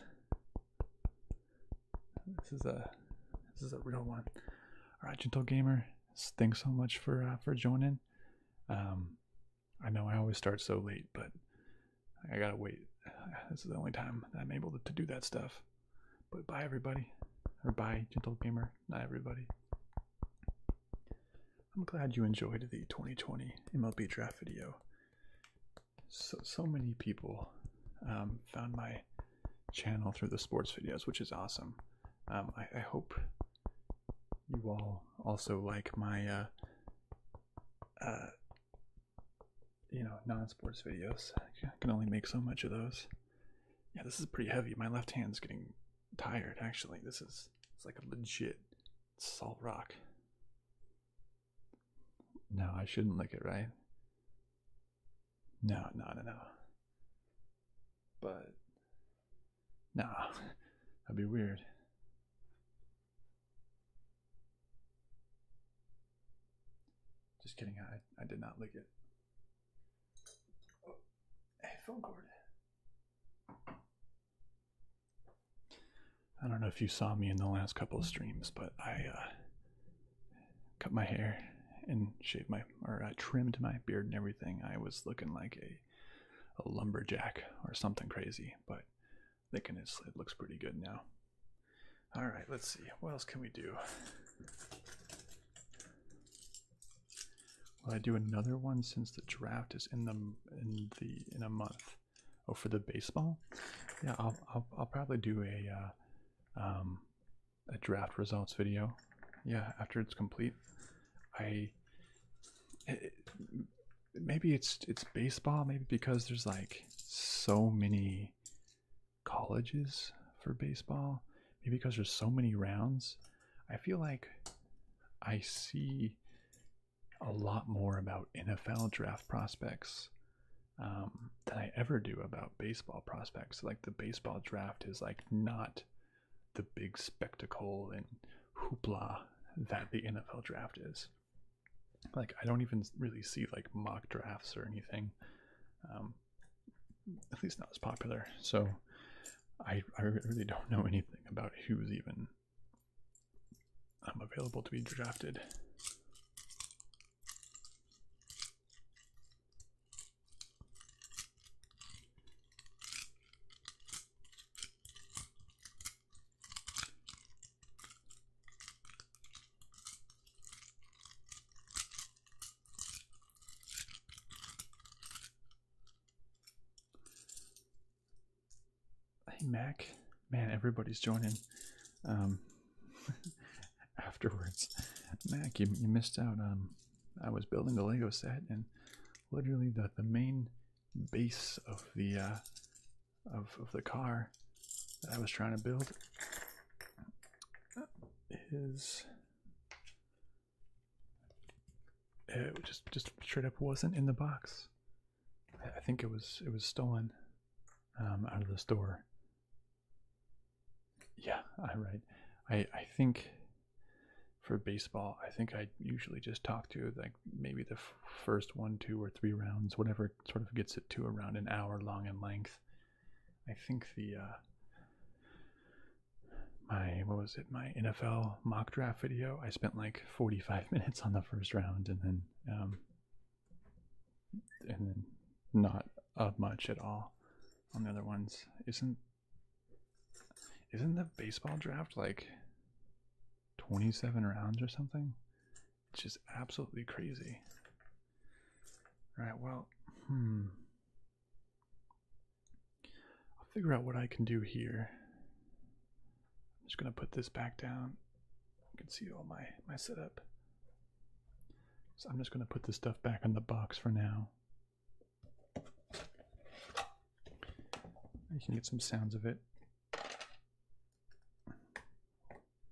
this is a this is a real one. All right, gentle gamer, thanks so much for uh, for joining. Um, I know I always start so late, but I gotta wait. This is the only time I'm able to, do that stuff. But bye, everybody. Or bye, Gentle Gamer. Not everybody. I'm glad you enjoyed the 2020 MLB draft video. So, so many people um, found my channel through the sports videos, which is awesome. Um, I, I hope you all also like my uh, uh, you know non-sports videos. I can only make so much of those. Yeah, this is pretty heavy. My left hand's getting tired. Actually, this is it's like a legit salt rock. No, I shouldn't lick it, right? No, no, no, no. But no, that'd be weird. Just kidding, I, I did not lick it. Oh, hey, phone cord. I don't know if you saw me in the last couple of streams, but I uh, cut my hair and shaved my, or I uh, trimmed my beard and everything. I was looking like a a lumberjack or something crazy, but thinking it looks pretty good now. All right, let's see. What else can we do? Will I do another one since the draft is in the in the in a month? Oh, for the baseball? Yeah, I'll I'll, probably do a uh, um, a draft results video. Yeah, after it's complete. I maybe it's it's baseball. Maybe because there's like so many colleges for baseball. Maybe because there's so many rounds. I feel like I see a lot more about NFL draft prospects um, than I ever do about baseball prospects. Like the baseball draft is like not the big spectacle and hoopla that the NFL draft is. Like, I don't even really see like mock drafts or anything, um, at least not as popular. So, I, I really don't know anything about who's even um, available to be drafted. Hey Mac, man, everybody's joining. Um, afterwards, Mac, you, you missed out. Um, I was building a Lego set, and literally the the main base of the uh, of, of the car that I was trying to build is it just just straight up wasn't in the box. I think it was it was stolen um, out of the store. Yeah, right. I I think for baseball, I think I usually just talk to like maybe the first one, two, or three rounds, whatever sort of gets it to around an hour long in length. I think the uh, my what was it my NFL mock draft video? I spent like forty five minutes on the first round, and then um, and then not of much at all on the other ones. Isn't isn't the baseball draft like? 27 rounds or something. It's just absolutely crazy. All right, well, hmm. I'll figure out what I can do here. I'm just going to put this back down. You can see all my, my setup. So I'm just going to put this stuff back in the box for now. You can get some sounds of it.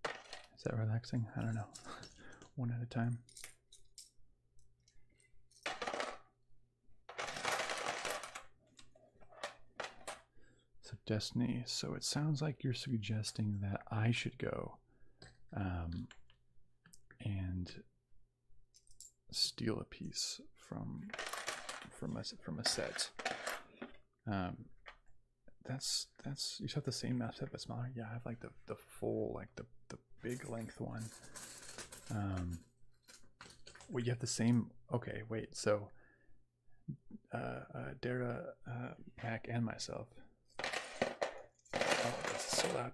Is that relaxing? I don't know. One at a time. So Destiny, so it sounds like you're suggesting that I should go um, and steal a piece from from a from a set. Um, that's that's you have the same map set but smaller. Yeah, I have like the the full like the the big length one. Um, well, you have the same. Okay, wait. So, uh, uh Dara, uh, Mac, and myself. Oh, so loud.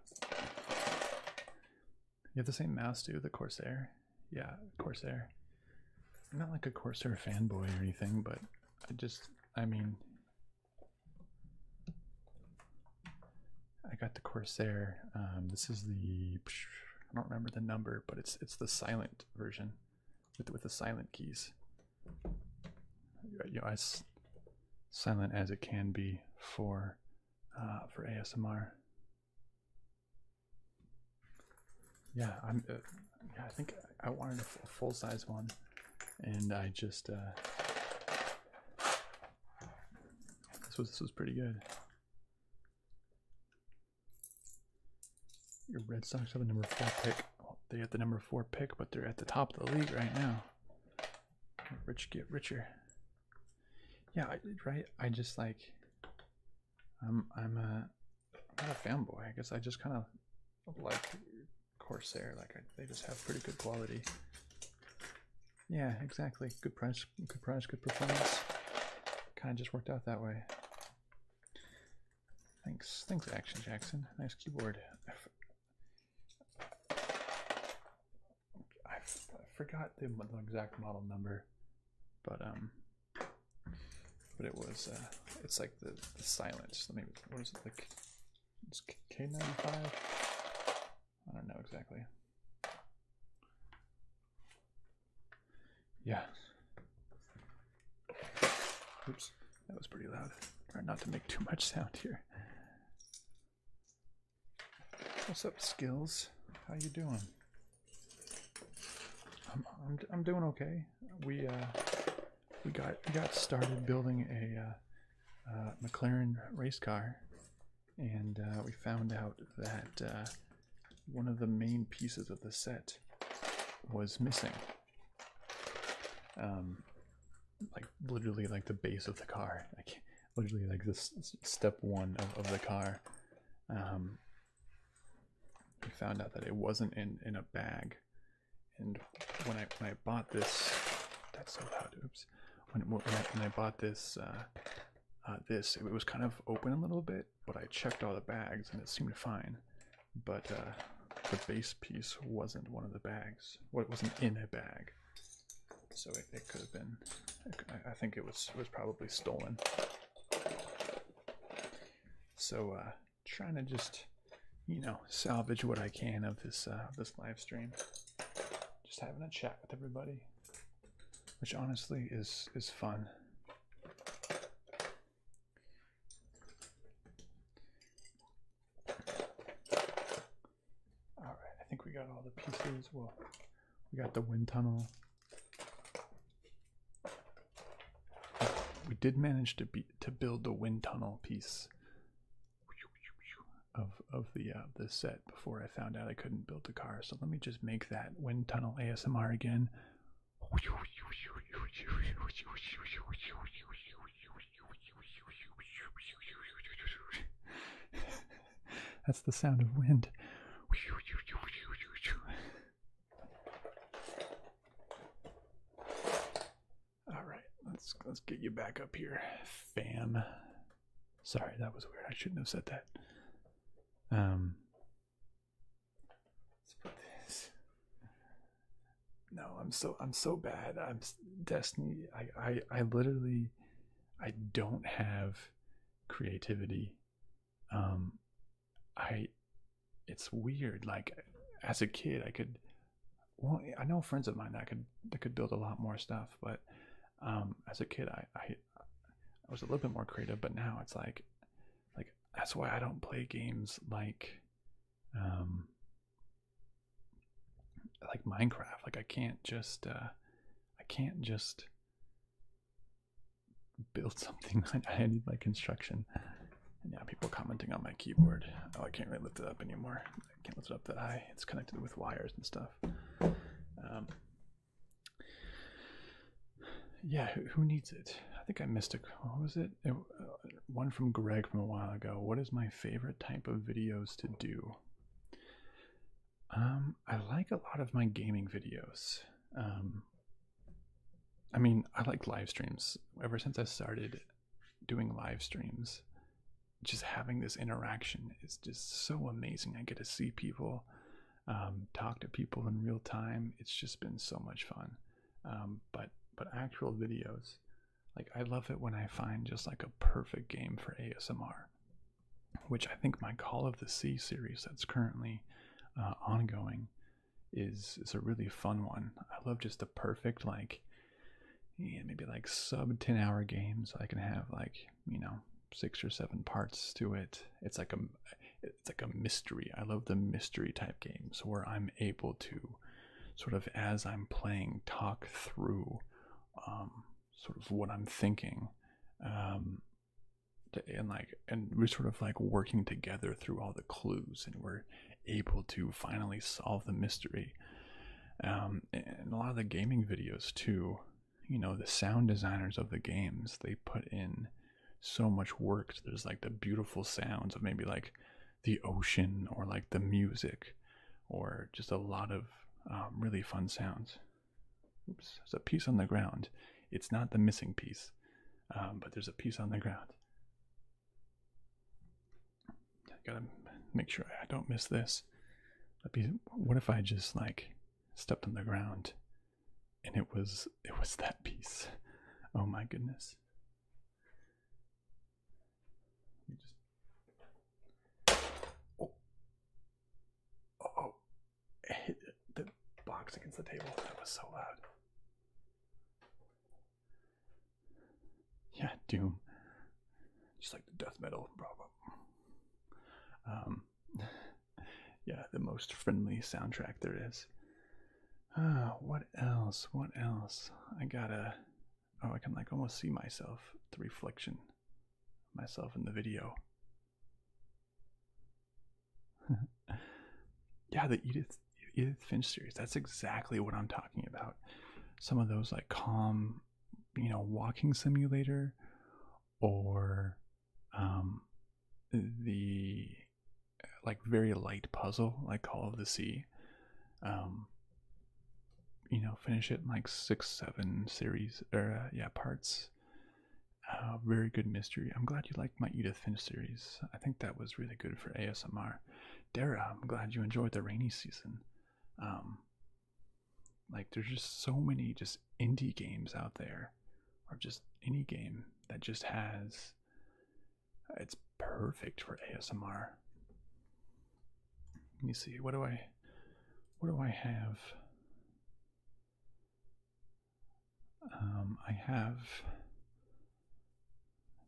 You have the same mouse, too, the Corsair yeah, Corsair. not like a Corsair fanboy or anything, but I just, I mean, I got the Corsair. Um, this is the, I don't remember the number, but it's it's the silent version with with the silent keys. You know, as silent as it can be for uh, for ASMR. Yeah, I'm. Uh, yeah, I think I wanted a full size one, and I just uh, this was this was pretty good. Your Red Sox have the number four pick. they have the number four pick, but they're at the top of the league right now. Rich get richer. Yeah, right. I just like I'm I'm a not a fanboy. I guess I just kind of like Corsair. Like they just have pretty good quality. Yeah, exactly. Good price, good price, good performance. Kind of just worked out that way. Thanks, thanks, Action Jackson. Nice keyboard. I forgot the exact model number, but um, but it was, uh, it's like the, the silence. Let me, what is it, like, it's K95? I don't know exactly. Yeah. Oops, that was pretty loud. Try not to make too much sound here. What's up, skills? How you doing? I'm, I'm, doing okay. We uh, we got got started building a uh, uh, McLaren race car, and uh, we found out that one of the main pieces of the set was missing. Um, like literally like the base of the car, like literally like this step one of, of the car. Um, we found out that it wasn't in in a bag and when i when i bought this that's so loud oops when, when, I, bought this uh, uh, this it was kind of open a little bit but i checked all the bags and it seemed fine but uh, the base piece wasn't one of the bags it wasn't in a bag so it, it could have been i think it was it was probably stolen so uh, trying to just you know salvage what I can of this uh, this live stream. Just having a chat with everybody. Which honestly is is fun. All right, I think we got all the pieces. Well, we got the wind tunnel. We did manage to be to build the wind tunnel piece of of the uh, the set before I found out I couldn't build the car. So let me just make that wind tunnel ASMR again. That's the sound of wind. All right, let's let's get you back up here, fam. Sorry, that was weird. I shouldn't have said that. Um, let's put this. No, I'm so I'm so bad. I'm Destiny. I I I literally, I don't have creativity um i it's weird like as a kid i could well i know friends of mine that could that could build a lot more stuff but um as a kid i i was a little bit more creative but now it's like like that's why i don't play games like um like minecraft like i can't just uh, i can't just build something. I need my construction. Yeah, people commenting on my keyboard. Oh, I can't really lift it up anymore. I can't lift it up that high. It's connected with wires and stuff. Um, yeah, who, needs it? I think I missed a. What was it? Uh, one from Greg from a while ago. What is my favorite type of videos to do? Um, I like a lot of my gaming videos. Um, I mean, I like live streams. Ever since I started doing live streams, just having this interaction is just so amazing. I get to see people, um, talk to people in real time. It's just been so much fun. Um, but but actual videos, like I love it when I find just like a perfect game for ASMR, which I think my Call of the Sea series that's currently uh, ongoing is is a really fun one. I love just the perfect like yeah, maybe like sub 10 hour games. I can have like, you know, six or seven parts to it. It's like a it's like a mystery. I love the mystery type games where I'm able to sort of as I'm playing talk through um sort of what I'm thinking. Um and like and we're sort of like working together through all the clues and we're able to finally solve the mystery um, and a lot of the gaming videos too you know the sound designers of the games they put in so much work there's like the beautiful sounds of maybe like the ocean or like the music or just a lot of um, really fun sounds oops there's a piece on the ground it's not the missing piece um, but there's a piece on the ground. I gotta make sure I don't miss this. what if I just like stepped on the ground and it was it was that piece? Oh my goodness. oh, oh, oh. hit the box against the table. That was so loud. Yeah, Doom. Just like the death metal, blah, Um, yeah, the most friendly soundtrack there is. Ah, what else? What else? I gotta. Oh, I can like almost see myself, the reflection, myself in the video. yeah, the Edith Edith Finch series. That's exactly what I'm talking about. Some of those like calm, you know, walking simulator, or um, the like very light puzzle like Call of the Sea. Um, you know, finish it in like six, seven series or uh, yeah parts. Uh, very good mystery. I'm glad you like my Edith. Edith series. I think that was really good for ASMR. Dara, I'm glad you enjoyed the rainy season. Um, like there's just so many just indie games out there, or just any game that just has. It's perfect for ASMR. Let me see. What do I? What do I have? Um, I have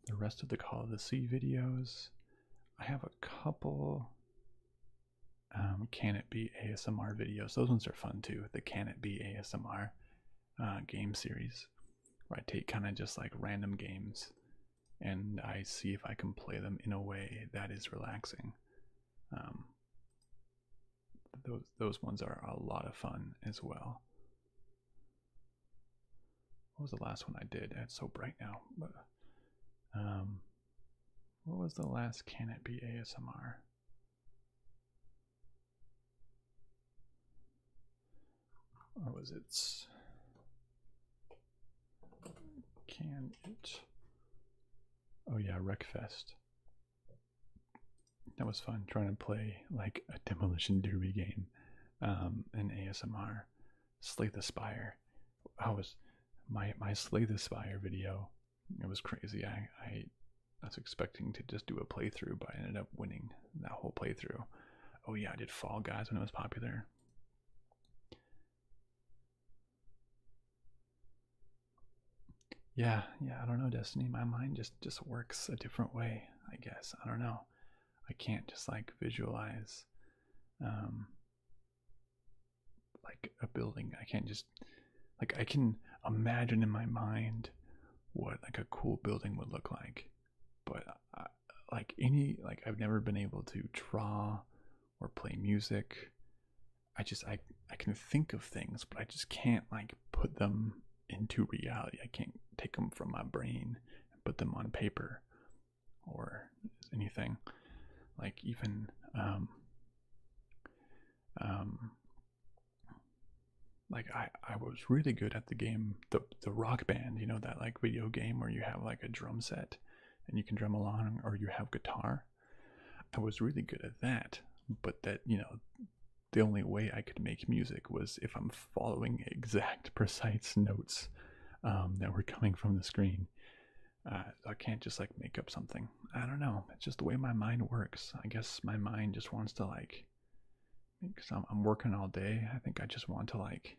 the rest of the Call of the Sea videos. I have a couple um, Can It Be ASMR videos. Those ones are fun too. The Can It Be ASMR uh, game series, where I take kind of just like random games and I see if I can play them in a way that is relaxing. Um, those those ones are a lot of fun as well. What was the last one I did? It's so bright now. But, um, what was the last Can It Be ASMR? Or was it? Can it? Oh yeah, Wreckfest that was fun trying to play like a demolition derby game um an asmr slay the spire i was my my slay the spire video it was crazy i i was expecting to just do a playthrough but i ended up winning that whole playthrough oh yeah i did fall guys when it was popular yeah yeah i don't know destiny my mind just just works a different way I guess. I don't know. I can't just like visualize um like a building. I can't just like I can imagine in my mind what like a cool building would look like. But uh, like any like I've never been able to draw or play music. I just I I can think of things, but I just can't like put them into reality. I can't take them from my brain and put them on paper or anything. Like even um um like I I was really good at the game the the rock band, you know that like video game where you have like a drum set and you can drum along or you have guitar. I was really good at that, but that, you know, the only way I could make music was if I'm following exact precise notes um, that were coming from the screen. Uh, I can't just like make up something. I don't know. It's just the way my mind works. I guess my mind just wants to like, because I'm, working all day. I think I just want to like,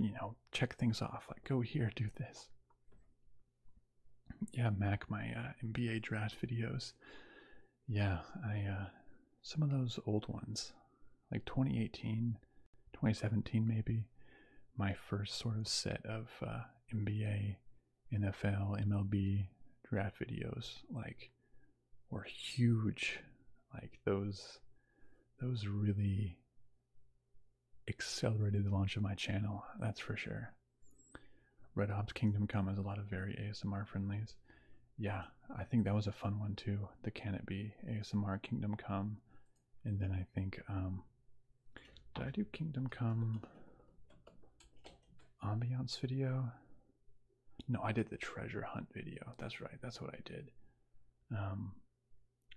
you know, check things off. Like go here, do this. Yeah, Mac, my uh, MBA draft videos. Yeah, I uh, some of those old ones, like 2018, 2017 maybe, my first sort of set of uh, NBA, NFL, MLB draft videos like were huge. Like those those really accelerated the launch of my channel, that's for sure. Red Hops Kingdom Come has a lot of very ASMR friendlies. Yeah, I think that was a fun one too. The Can It Be ASMR Kingdom Come, and then I think um, did I do Kingdom Come ambiance video? No, I did the treasure hunt video. That's right. That's what I did. Um,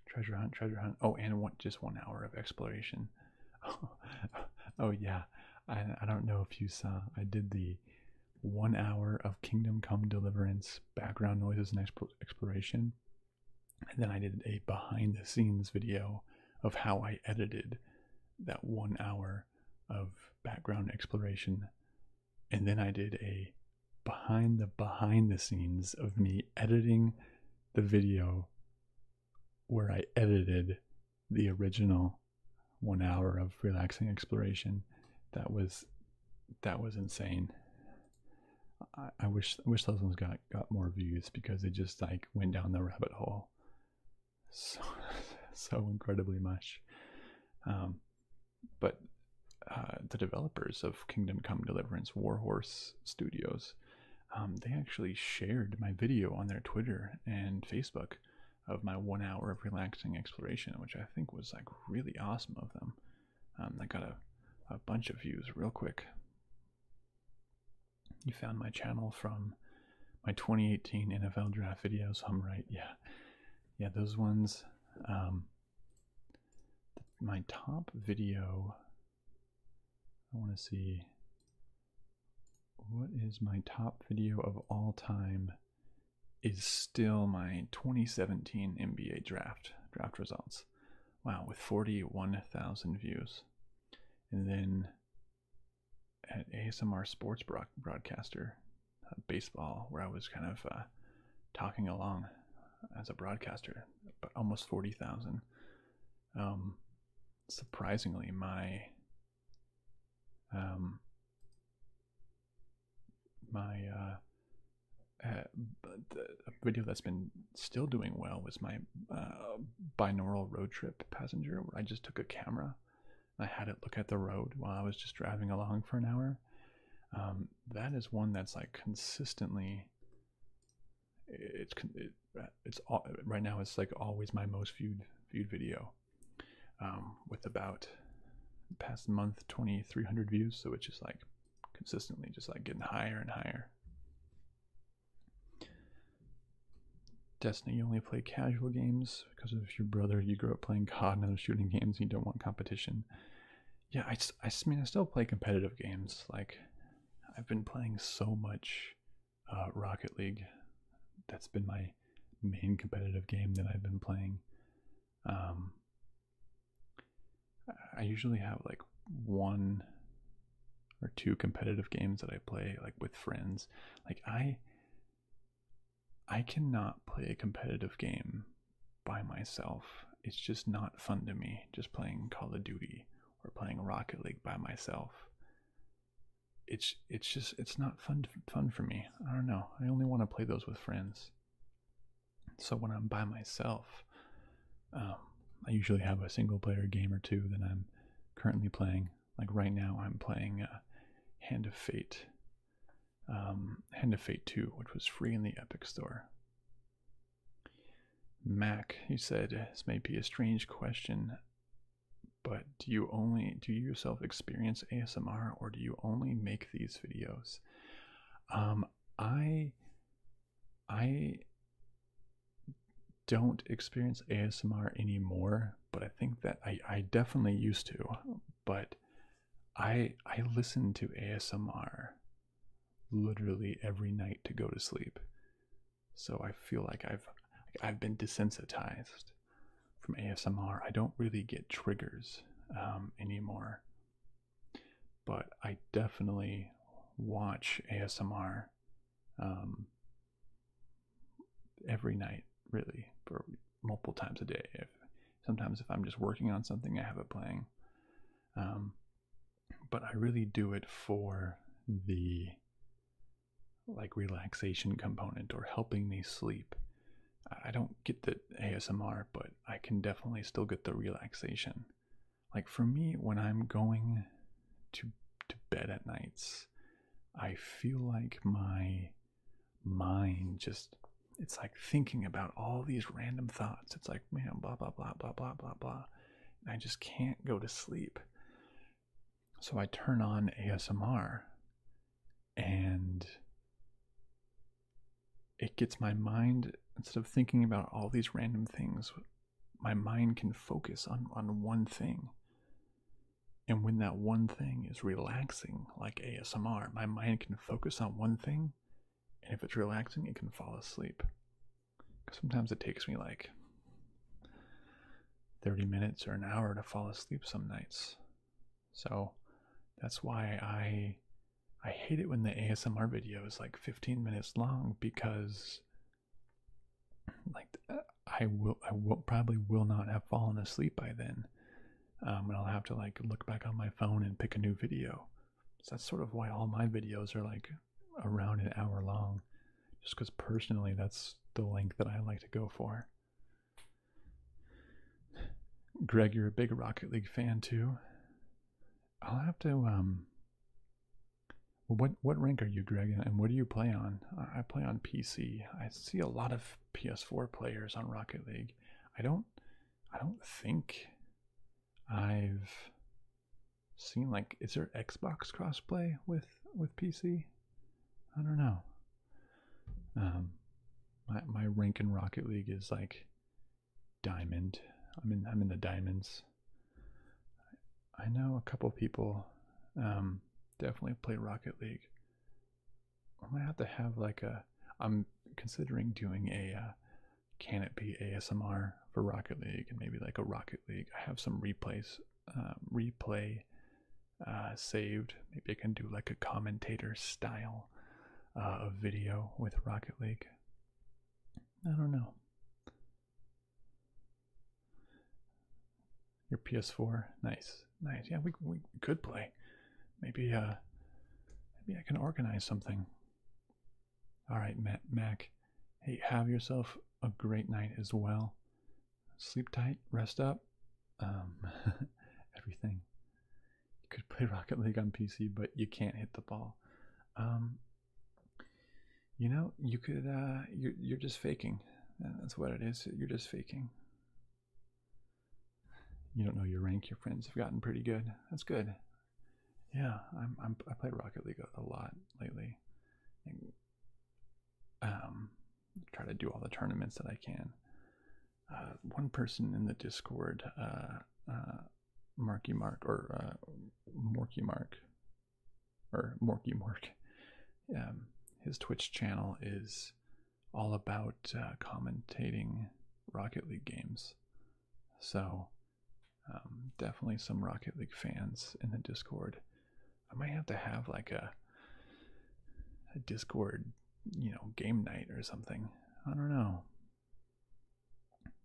treasure hunt, treasure hunt. Oh, and one, just one hour of exploration. oh, yeah. I, I don't know if you saw. I did the one hour of Kingdom Come Deliverance background noises and exploration. And then I did a behind the scenes video of how I edited that one hour of background exploration. And then I did a behind the behind the scenes of me editing the video where I edited the original one hour of relaxing exploration that was that was insane i, I wish wish those ones got got more views because it just like went down the rabbit hole so so incredibly much um but uh, the developers of kingdom come deliverance warhorse studios um, they actually shared my video on their twitter and facebook of my one hour of relaxing exploration, which I think was like really awesome of them. Um, I got a, a bunch of views real quick. You found my channel from my 2018 NFL draft videos. I'm right, yeah, yeah, those ones. Um, my top video. I want to see what is my top video of all time is still my 2017 MBA draft draft results. Wow, with 41,000 views. And then at ASMR Sports Broadcaster uh, Baseball, where I was kind of uh, talking along as a broadcaster, but almost 40,000. Um, surprisingly, my um, my uh, uh video that's been still doing well was my uh, binaural road trip passenger, where I just took a camera I had it look at the road while I was just driving along for an hour. Um, that is one that's like consistently. It's it, uh, it's all, right now. It's like always my most viewed viewed video. Um, with about past month 2300 views so it's just like consistently just like getting higher and higher destiny you only play casual games because of your brother you grew up playing cod and other shooting games you don't want competition yeah I, I mean i still play competitive games like i've been playing so much uh, rocket league that's been my main competitive game that I've been playing. Um, I usually have like one or two competitive games that I play like with friends. Like I I cannot play a competitive game by myself. It's just not fun to me just playing Call of Duty or playing Rocket League by myself. It's it's just it's not fun fun for me. I don't know. I only want to play those with friends. So when I'm by myself, um, I usually have a single player game or two that I'm currently playing. Like right now, I'm playing uh, Hand of Fate, um, Hand of Fate 2, which was free in the Epic Store. Mac, he said, this may be a strange question, but do you only do you yourself experience ASMR or do you only make these videos? Um, I I don't experience ASMR anymore, but I think that I, I definitely used to, but I I listen to ASMR literally every night to go to sleep. So I feel like I've I've been desensitized from ASMR, I don't really get triggers um, anymore. But I definitely watch ASMR um, every night, really, for multiple times a day. sometimes if I'm just working on something, I have it playing. Um, but I really do it for the like relaxation component or helping me sleep I don't get the ASMR, but I can definitely still get the relaxation. Like for me, when I'm going to to bed at nights, I feel like my mind just it's like thinking about all these random thoughts. It's like, man, blah blah blah blah blah blah blah. And I just can't go to sleep. So I turn on ASMR and it gets my mind instead of thinking about all these random things my mind can focus on on one thing and when that one thing is relaxing like ASMR my mind can focus on one thing and if it's relaxing it can fall asleep cuz sometimes it takes me like 30 minutes or an hour to fall asleep some nights so that's why I I hate it when the ASMR video is like 15 minutes long because like uh, I will I will probably will not have fallen asleep by then. Um, and I'll have to like look back on my phone and pick a new video. So that's sort of why all my videos are like around an hour long, just because personally that's the length that I like to go for. Greg, you're a big Rocket League fan too. I'll have to um. What what rank are you, Greg, and what do you play on? I play on PC. I see a lot of PS4 players on Rocket League. I don't I don't think I've seen like is there Xbox crossplay with with PC? I don't know. Um, my my rank in Rocket League is like diamond. I'm in I'm in the diamonds. I know a couple people um, definitely play Rocket League. I might have to have like a. I'm considering doing a. Uh, can it be ASMR for Rocket League and maybe like a Rocket League? I have some replays, um, replay uh, saved. Maybe I can do like a commentator style uh, a video with Rocket League. I don't know. Your PS4, nice, nice. Yeah, we we could play. Maybe uh, maybe I can organize something. All right, Matt Mac. Hey, have yourself a great night as well. Sleep tight, rest up, um, everything. You could play Rocket League on PC, but you can't hit the ball. Um, you know, you could. Uh, you're you're just faking. That's what it is. You're just faking. You don't know your rank. Your friends have gotten pretty good. That's good. Yeah, I'm. I'm I play Rocket League a lot lately. And, um, try to do all the tournaments that I can uh, one person in the Discord, uh, uh, Marky Mark or uh, Morky Mark or Morky Mark. Um, his Twitch channel is all about uh, commentating Rocket League games. So, um, definitely some Rocket League fans in the Discord. I might have to have like a, a Discord you know, game night or something. I don't know.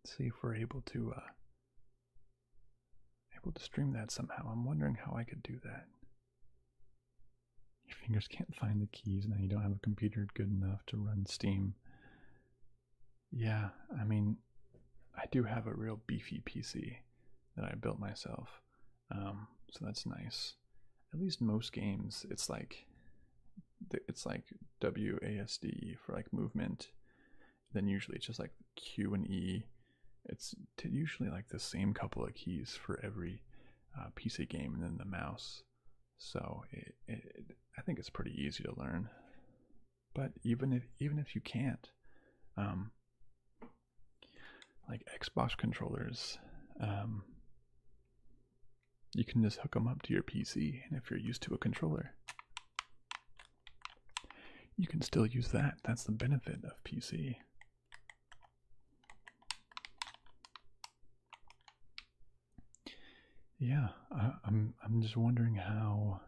see if we're able to uh, able to stream that somehow. I'm wondering how I could do that. Your fingers can't find the keys now. You don't have a computer good enough to run Steam. Yeah, I mean, I do have a real beefy PC that I built myself, um, so that's nice at least most games, it's like it's like WASD for like movement. Then usually it's just like Q and E. It's usually like the same couple of keys for every uh, PC game, and then the mouse. So I think it's pretty easy to learn. But even if even if you can't, um, like Xbox controllers, um, you can just hook them up to your PC, and if you're used to a controller, you can still use that. That's the benefit of PC. Yeah, I, am I'm just wondering how.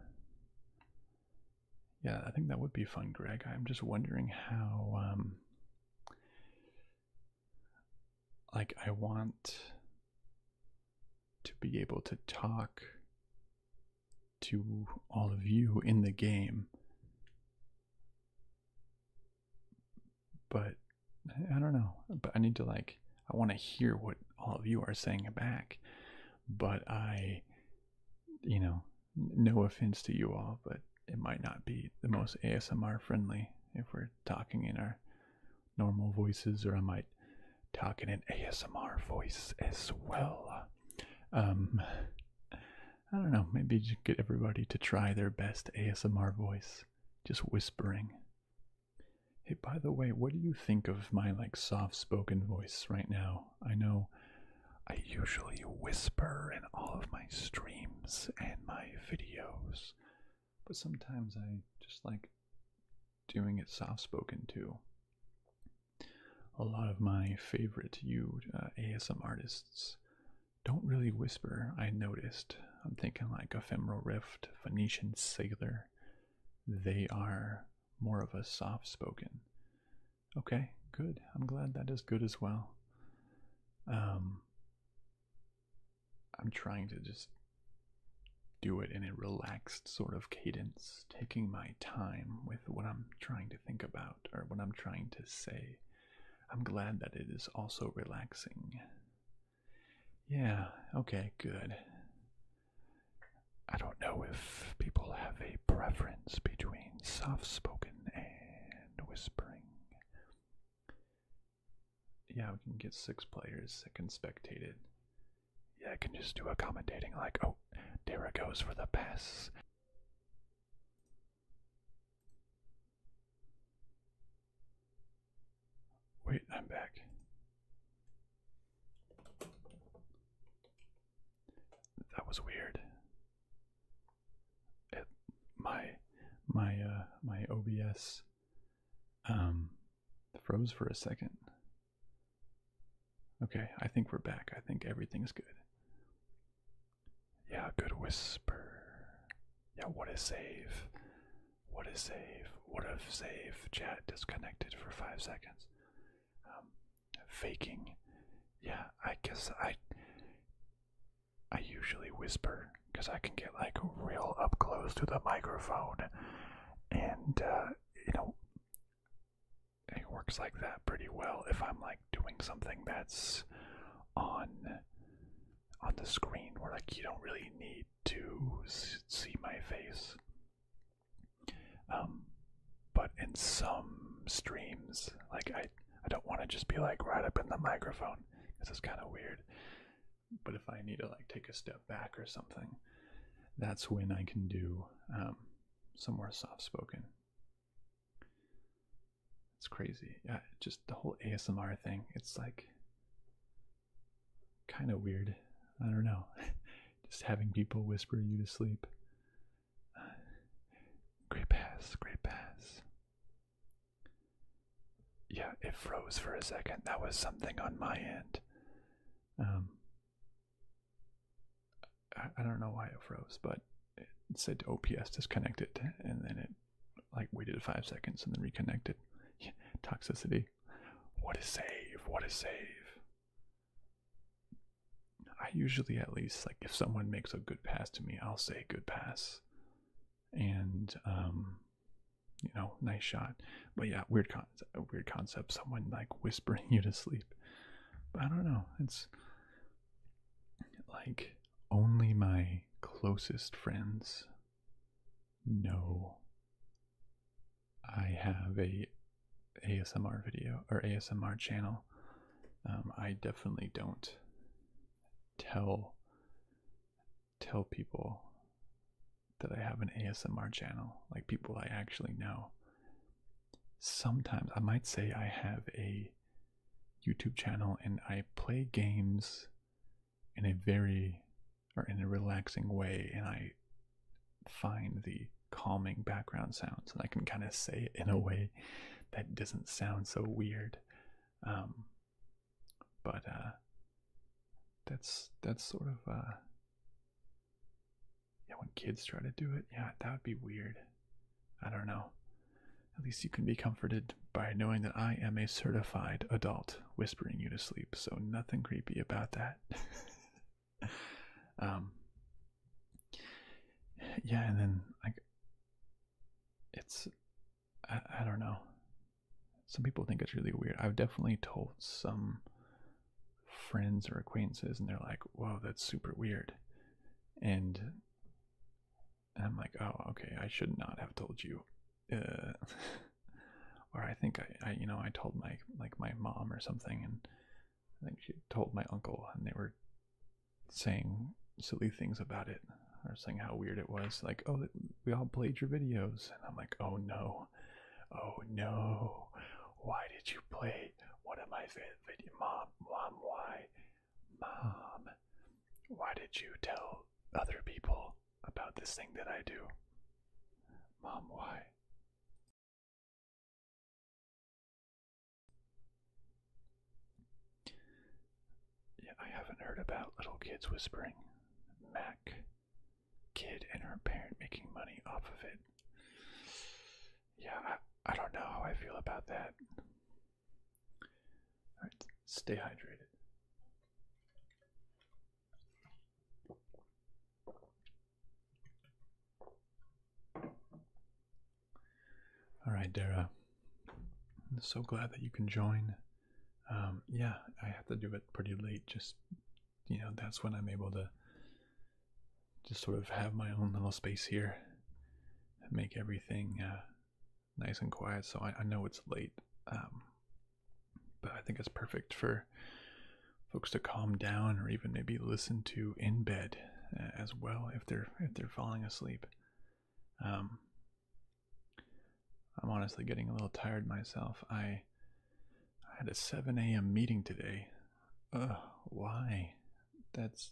Yeah, I think that would be fun, Greg. I'm just wondering how. Um, like I want to be able to talk to all of you in the game. But I don't know. But I need to like I want to hear what all of you are saying back. But I you know, no offense to you all, but it might not be the most ASMR friendly if we're talking in our normal voices, or I might talk in an ASMR voice as well. Um, I don't know, maybe get everybody to try their best ASMR voice, just whispering. Hey, by the way, what do you think of my like soft spoken voice right now? I know I usually whisper in all of my streams and my videos, but sometimes I just like doing it soft spoken too. A lot of my favorite you uh, artists don't really whisper, I noticed. I'm thinking like Ephemeral Rift, Phoenician Sailor. They are more of a soft spoken. Okay, good. I'm glad that is good as well. Um, I'm trying to just do it in a relaxed sort of cadence, taking my time with what I'm trying to think about or what I'm trying to say. I'm glad that it is also relaxing. Yeah, okay, good. I don't know if people have a preference between soft spoken and whispering. Yeah, we can get six players that can spectate it. Yeah, I can just do a commentating like, oh, there it goes for the pass. Wait, I'm back. That was weird. It, my my uh my OBS um, froze for a second. Okay, I think we're back. I think everything's good. Yeah, good whisper. Yeah, what is save? What is save? What if save? Chat disconnected for five seconds. Um, faking. Yeah, I guess I. I usually whisper because I can get like real up close to the microphone, and uh, you know, it works like that pretty well. If I'm like doing something that's on on the screen, where like you don't really need to see my face, um, but in some streams, like I I don't want to just be like right up in the microphone. This is kind of weird. But if I need to like take a step back or something, that's when I can do um, somewhere soft spoken. It's crazy. Yeah, just the whole ASMR thing. It's like kind of weird. I don't know. just having people whisper you to sleep. Great pass, great pass. Yeah, it froze for a second. That was something on my end. Um, I, don't know why it froze, but it said OPS disconnected, and then it like waited five seconds and then reconnected. toxicity. What a save! What a save! I usually, at least, like if someone makes a good pass to me, I'll say good pass and um you know nice shot but yeah weird con a weird concept someone like whispering you to sleep i don't know it's like only my closest friends know i have a asmr video or asmr channel um, i definitely don't tell tell people that I have an ASMR channel, like people I actually know. Sometimes I might say I have a YouTube channel and I play games in a very or in a relaxing way and I find the calming background sounds and I can kind of say it in a way that doesn't sound so weird. Um, but uh, that's that's sort of uh, yeah. When kids try to do it, yeah, that would be weird. I don't know. At least you can be comforted by knowing that I am a certified adult whispering you to sleep, so nothing creepy about that. um, yeah, and then like it's I, don't know. Some people think it's really weird. I've definitely told some friends or acquaintances, and they're like, "Whoa, that's super weird," and, I'm like, "Oh, okay, I should not have told you." Uh, or I think I, you know, I told my like my mom or something, and I think she told my uncle, and they were saying silly things about it, or saying how weird it was. Like, oh, we all played your videos. And I'm like, oh no, oh no, why did you play one of my favorite videos? Mom, mom, why? Mom, why did you tell other people about this thing that I do? Mom, why? Yeah, I haven't heard about Little Kids Whispering. Mac kid and her parent making money off of it. Yeah, I, I don't know how I feel about that. Alright, stay hydrated. Alright, Dara. I'm so glad that you can join. Um, yeah, I have to do it pretty late. Just you know, that's when I'm able to just sort of have my own little space here and make everything uh, nice and quiet. So I, know it's late, um, but I think it's perfect for folks to calm down or even maybe listen to in bed uh, as well if they're if they're falling asleep. Um, I'm honestly getting a little tired myself. I I had a 7 a.m. meeting today. Ugh, why? That's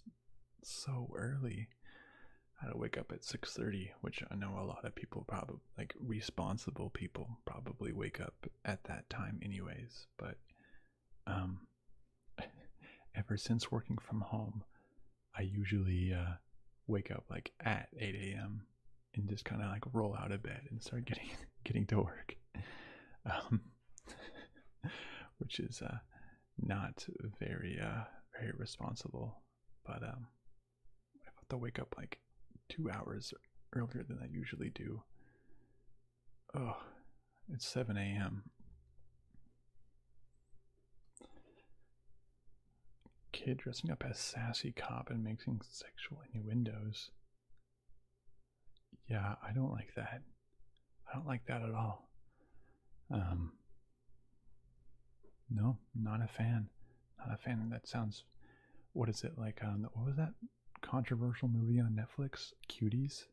so early. I had to wake up at 6:30, which I know a lot of people probably like responsible people probably wake up at that time anyways, but um ever since working from home, I usually uh, wake up like at 8 a.m and just kind of like roll out of bed and start getting getting to work um, which is uh, not very uh, very responsible but um, i have to wake up like two hours earlier than i usually do oh it's 7 a.m kid dressing up as sassy cop and making sexual innuendos. Yeah, I don't like that. I don't like that at all. Um, no, not a fan. Not a fan. That sounds. What is it like? Um, what was that controversial movie on Netflix? Cuties,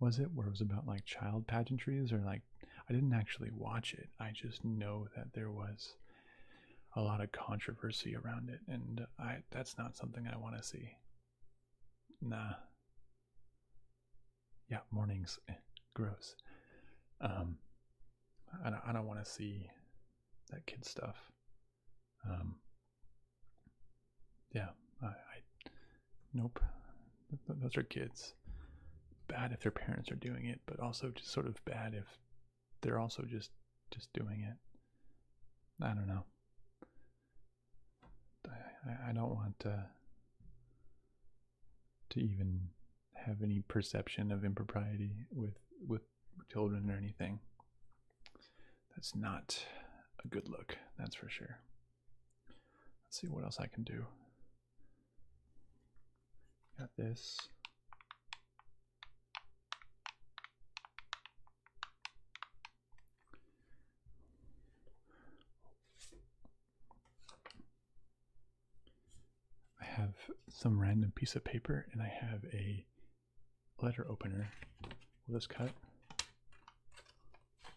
was it? Where it was about like child pageantries or like. I didn't actually watch it. I just know that there was a lot of controversy around it, and I that's not something I want to see. Nah. Yeah, mornings, eh, gross. Um, I don't, want to see that kid stuff. Um, yeah, I nope. Those are kids. Bad if their parents are doing it, but also just sort of bad if they're also just just doing it. I don't know. I I don't want uh, to even have any perception of impropriety with with children or anything. That's not a good look, that's for sure. Let's see what else I can do. Got this. I have some random piece of paper and I have a letter opener. Will this cut?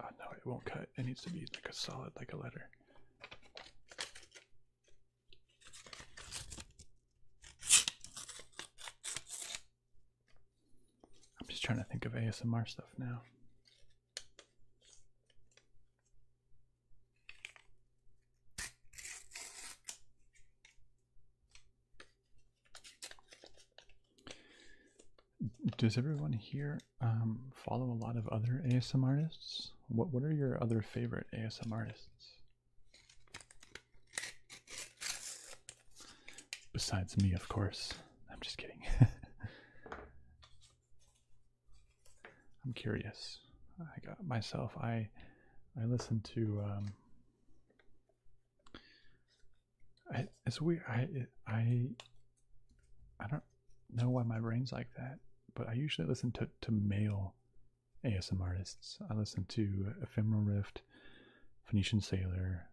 Oh no, it won't cut. It needs to be like a solid, like a letter. I'm just trying to think of ASMR stuff now. Does everyone here um, follow a lot of other ASMR artists? What What are your other favorite ASMR artists? Besides me, of course. I'm just kidding. I'm curious. I got myself. I I listened to. Um, I, it's weird. I I I don't know why my brain's like that, but I usually listen to to male ASM artists. I listen to Ephemeral Rift, Phoenician Sailor,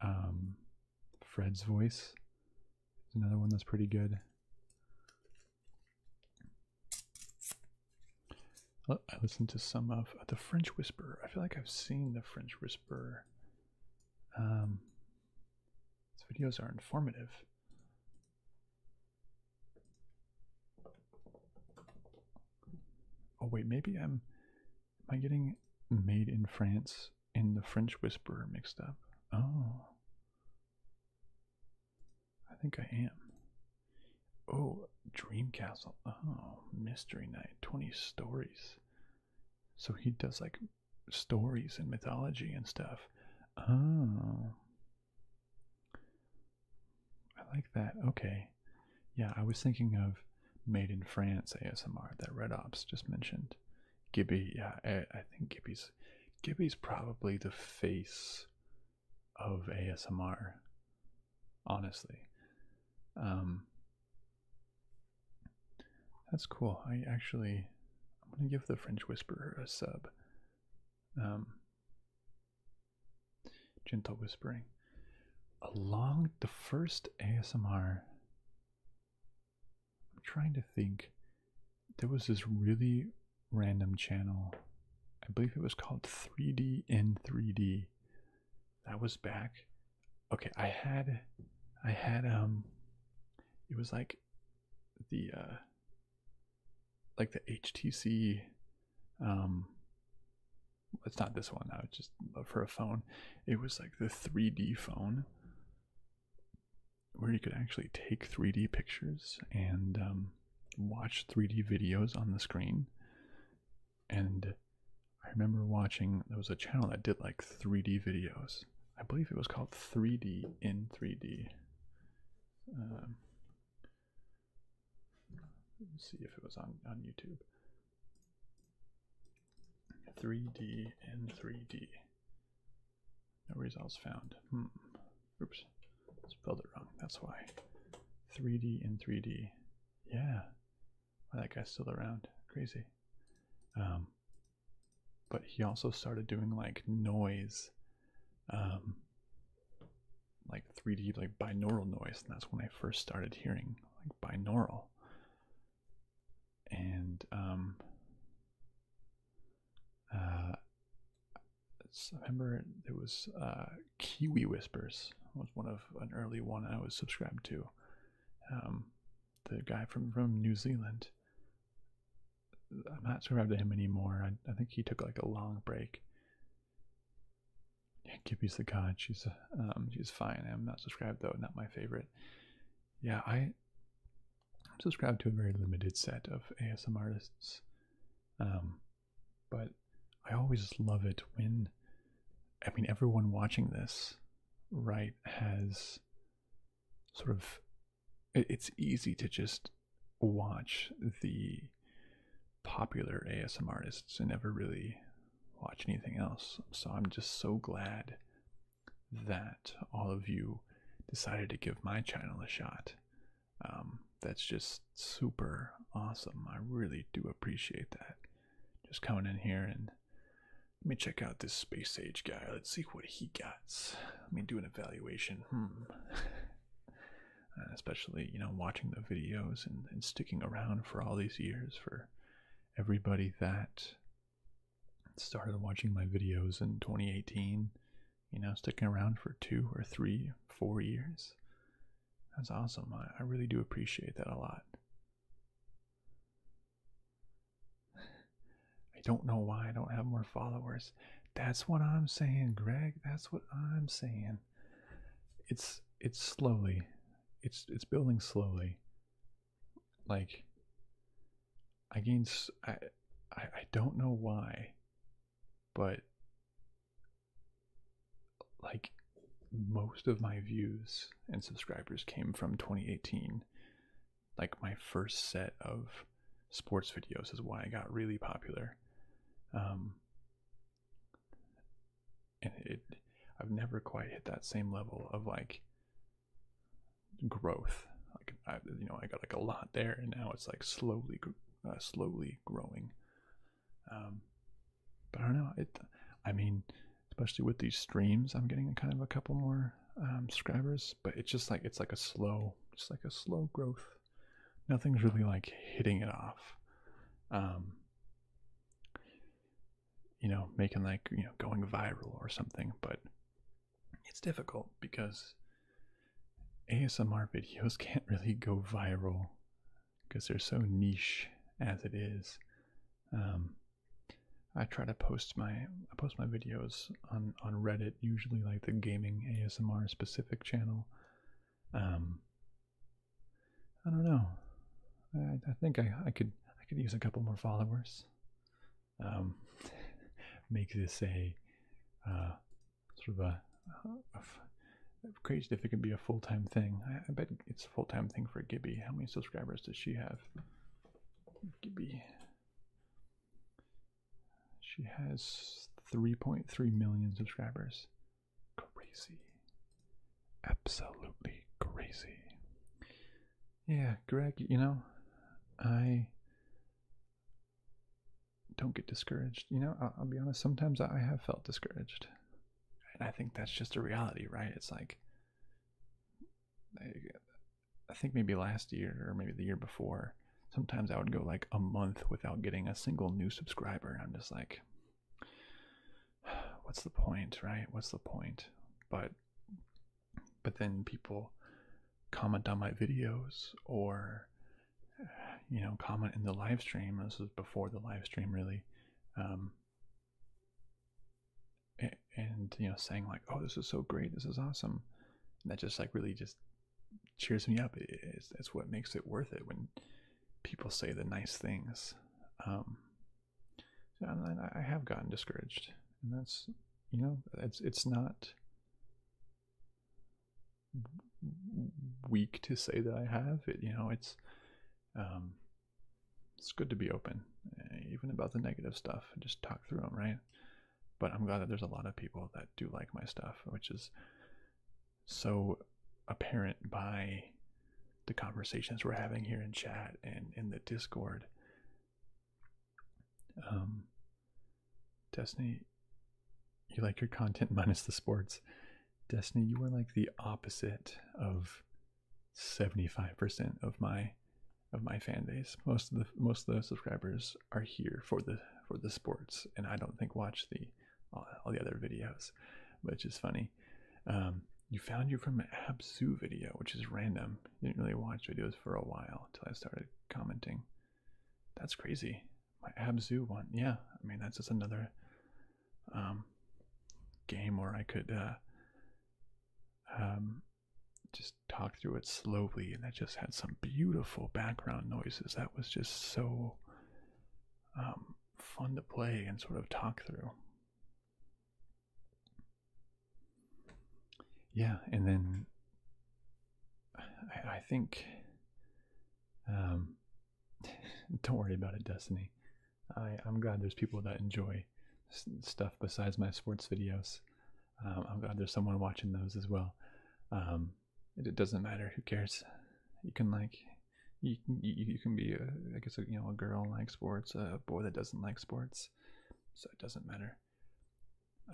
um, Fred's Voice There's another one that's pretty good. Oh, I listened to some of the French Whisperer. I feel like I've seen the French Whisperer. Um, his videos are informative. Oh wait, maybe I'm. Am I getting made in France in the French Whisperer mixed up? Oh. I think I am. Oh, Dream Castle. Oh, Mystery Night. 20 stories. So he does like stories and mythology and stuff. Oh. I like that. Okay. Yeah, I was thinking of Made in France ASMR that Red Ops just mentioned. Gibby, yeah, I, think Gibby's Gibby's probably the face of ASMR, honestly. Um, that's cool. I actually, I'm gonna give the French Whisperer a sub. Um, Gentle whispering. Along the first ASMR, I'm trying to think. There was this really random channel. I believe it was called 3D in 3D. That was back. Okay, I had, I had um, it was like, the uh, like the HTC um it's not this one. I would just love for a phone. It was like the 3D phone where you could actually take 3D pictures and um, watch 3D videos on the screen. And I remember watching, there was a channel that did like 3D videos. I believe it was called 3D in 3D. Let's see if it was on, on YouTube. 3D and 3D. No results found. Hmm. Oops. Spelled it wrong. That's why. 3D and 3D. Yeah. why that guy's still around. Crazy. Um, but he also started doing like noise um, like 3D like binaural noise, and that's when I first started hearing like binaural. And um, uh, I remember there was uh, Kiwi Whispers was one of an early one I was subscribed to. Um, the guy from from New Zealand. I'm not subscribed to him anymore. I think he took like a long break. Yeah, Gippy's the god. She's um, she's fine. I'm not subscribed though. Not my favorite. Yeah, I I'm subscribed to a very limited set of ASM artists. Um, but I always love it when I mean everyone watching this, right, has sort of it's easy to just watch the popular ASM artists. I never really watch anything else. So I'm just so glad that all of you decided to give my channel a shot. Um, that's just super awesome. I really do appreciate that. Just coming in here and let me check out this space age guy. Let's see what he gets. Let me do an evaluation. Hmm. Uh, especially you know watching the videos and, sticking around for all these years for everybody that started watching my videos in 2018 you know sticking around for two or three four years that's awesome I really do appreciate that a lot i don't know why i don't have more followers that's what i'm saying greg that's what i'm saying it's it's slowly. It's it's building slowly. Like I gained I I, don't know why, but like most of my views and subscribers came from 2018. Like my first set of sports videos is why I got really popular. Um, and it I've never quite hit that same level of like growth. Like you know, I got like a lot there, and now it's like slowly, uh, slowly growing. Um, but I don't know. It, I mean, especially with these streams, I'm getting kind of a couple more um, subscribers, but it's just like it's like a slow, just like a slow growth. Nothing's really like hitting it off. Um, you know, making like, you know, going viral or something, but it's difficult because ASMR videos can't really go viral because they're so niche as it is. Um, I try to post my I post my videos on on Reddit, usually like the gaming ASMR specific channel. Um, I don't know. I, I think I, I could I could use a couple more followers. Um, make this a uh, sort of a, a, crazy if it could be a full time thing. I bet it's a full time thing for Gibby. How many subscribers does she have? Gibby. She has 3.3 million subscribers crazy. Absolutely crazy. Yeah, Greg, you know, I don't get discouraged. You know, I'll, be honest, sometimes I have felt discouraged. And I think that's just a reality, right? It's like, I, I think maybe last year or maybe the year before, sometimes I would go like a month without getting a single new subscriber. And I'm just like, what's the point, right? What's the point? But but then people comment on my videos or you know comment in the live stream. This is before the live stream, really. Um, and you know saying like oh this is so great this is awesome and that just like really just cheers me up it's, it's what makes it worth it when people say the nice things. Um, I have gotten discouraged, and that's you know it's it's not weak to say that I have it. You know it's um, it's good to be open, eh, even about the negative stuff. Just talk through them, right? But I'm glad that there's a lot of people that do like my stuff, which is so apparent by the conversations we're having here in chat and in the Discord. Um, Destiny, you like your content minus the sports. Destiny, you are like the opposite of 75% of my of my fan base. Most of the most of the subscribers are here for the for the sports, and I don't think watch the all, all the other videos, which is funny. Um, you found you from an Absu video, which is random. didn't really watch videos for a while until I started commenting. That's crazy. My Absu one, yeah. I mean, that's just another um, game where I could uh, um, just talk through it slowly, and that just had some beautiful background noises. That was just so fun to play and sort of talk through yeah, and then I, think. Um, don't worry about it, Destiny. I, am glad there's people that enjoy stuff besides my sports videos. Um, I'm glad there's someone watching those as well. Um, it doesn't matter. Who cares? You can like you you, can be a, I guess a, you know a girl and like sports, a boy that doesn't like sports, so it doesn't matter.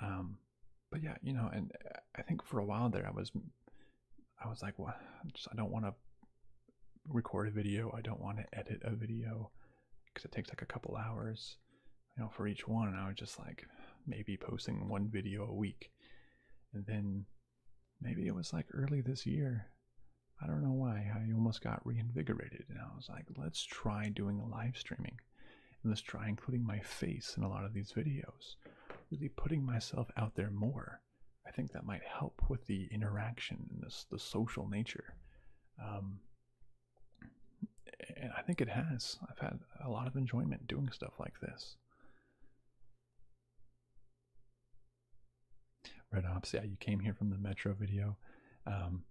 Um, but yeah, you know, and I think for a while there, I was I was like, well, just, I don't want to record a video. I don't want to edit a video because it takes like a couple hours, you know, for each one. And I was just like, maybe posting one video a week, and then maybe it was like early this year. I don't know why. I almost got reinvigorated, and I was like, let's try doing a live streaming. And let's try including my face in a lot of these videos. Really putting myself out there more. I think that might help with the interaction and this, the social nature. Um, and I think it has. I've had a lot of enjoyment doing stuff like this. Red Ops, yeah, you came here from the Metro video. Um,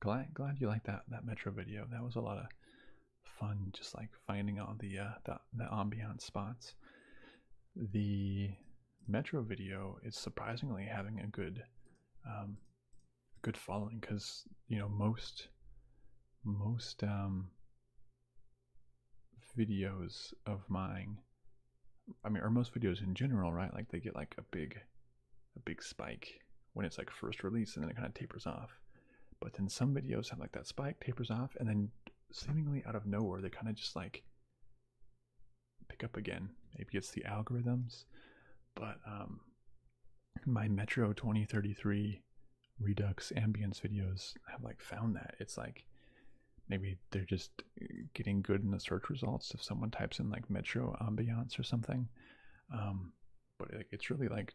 glad glad you liked that that Metro video. That was a lot of fun, just like finding all the uh, the, ambiance spots. The Metro video is surprisingly having a good um, good following because you know most most um, videos of mine I mean, or most videos in general, right? Like they get like a big, a big spike when it's like first released, and then it kind of tapers off. But then some videos have like that spike tapers off, and then seemingly out of nowhere, they kind of just like pick up again. Maybe it's the algorithms, but um, my Metro 2033 Redux ambience videos have like found that it's like maybe they're just uh, getting good in the search results if someone types in like metro ambiance or something um, but it, it's really like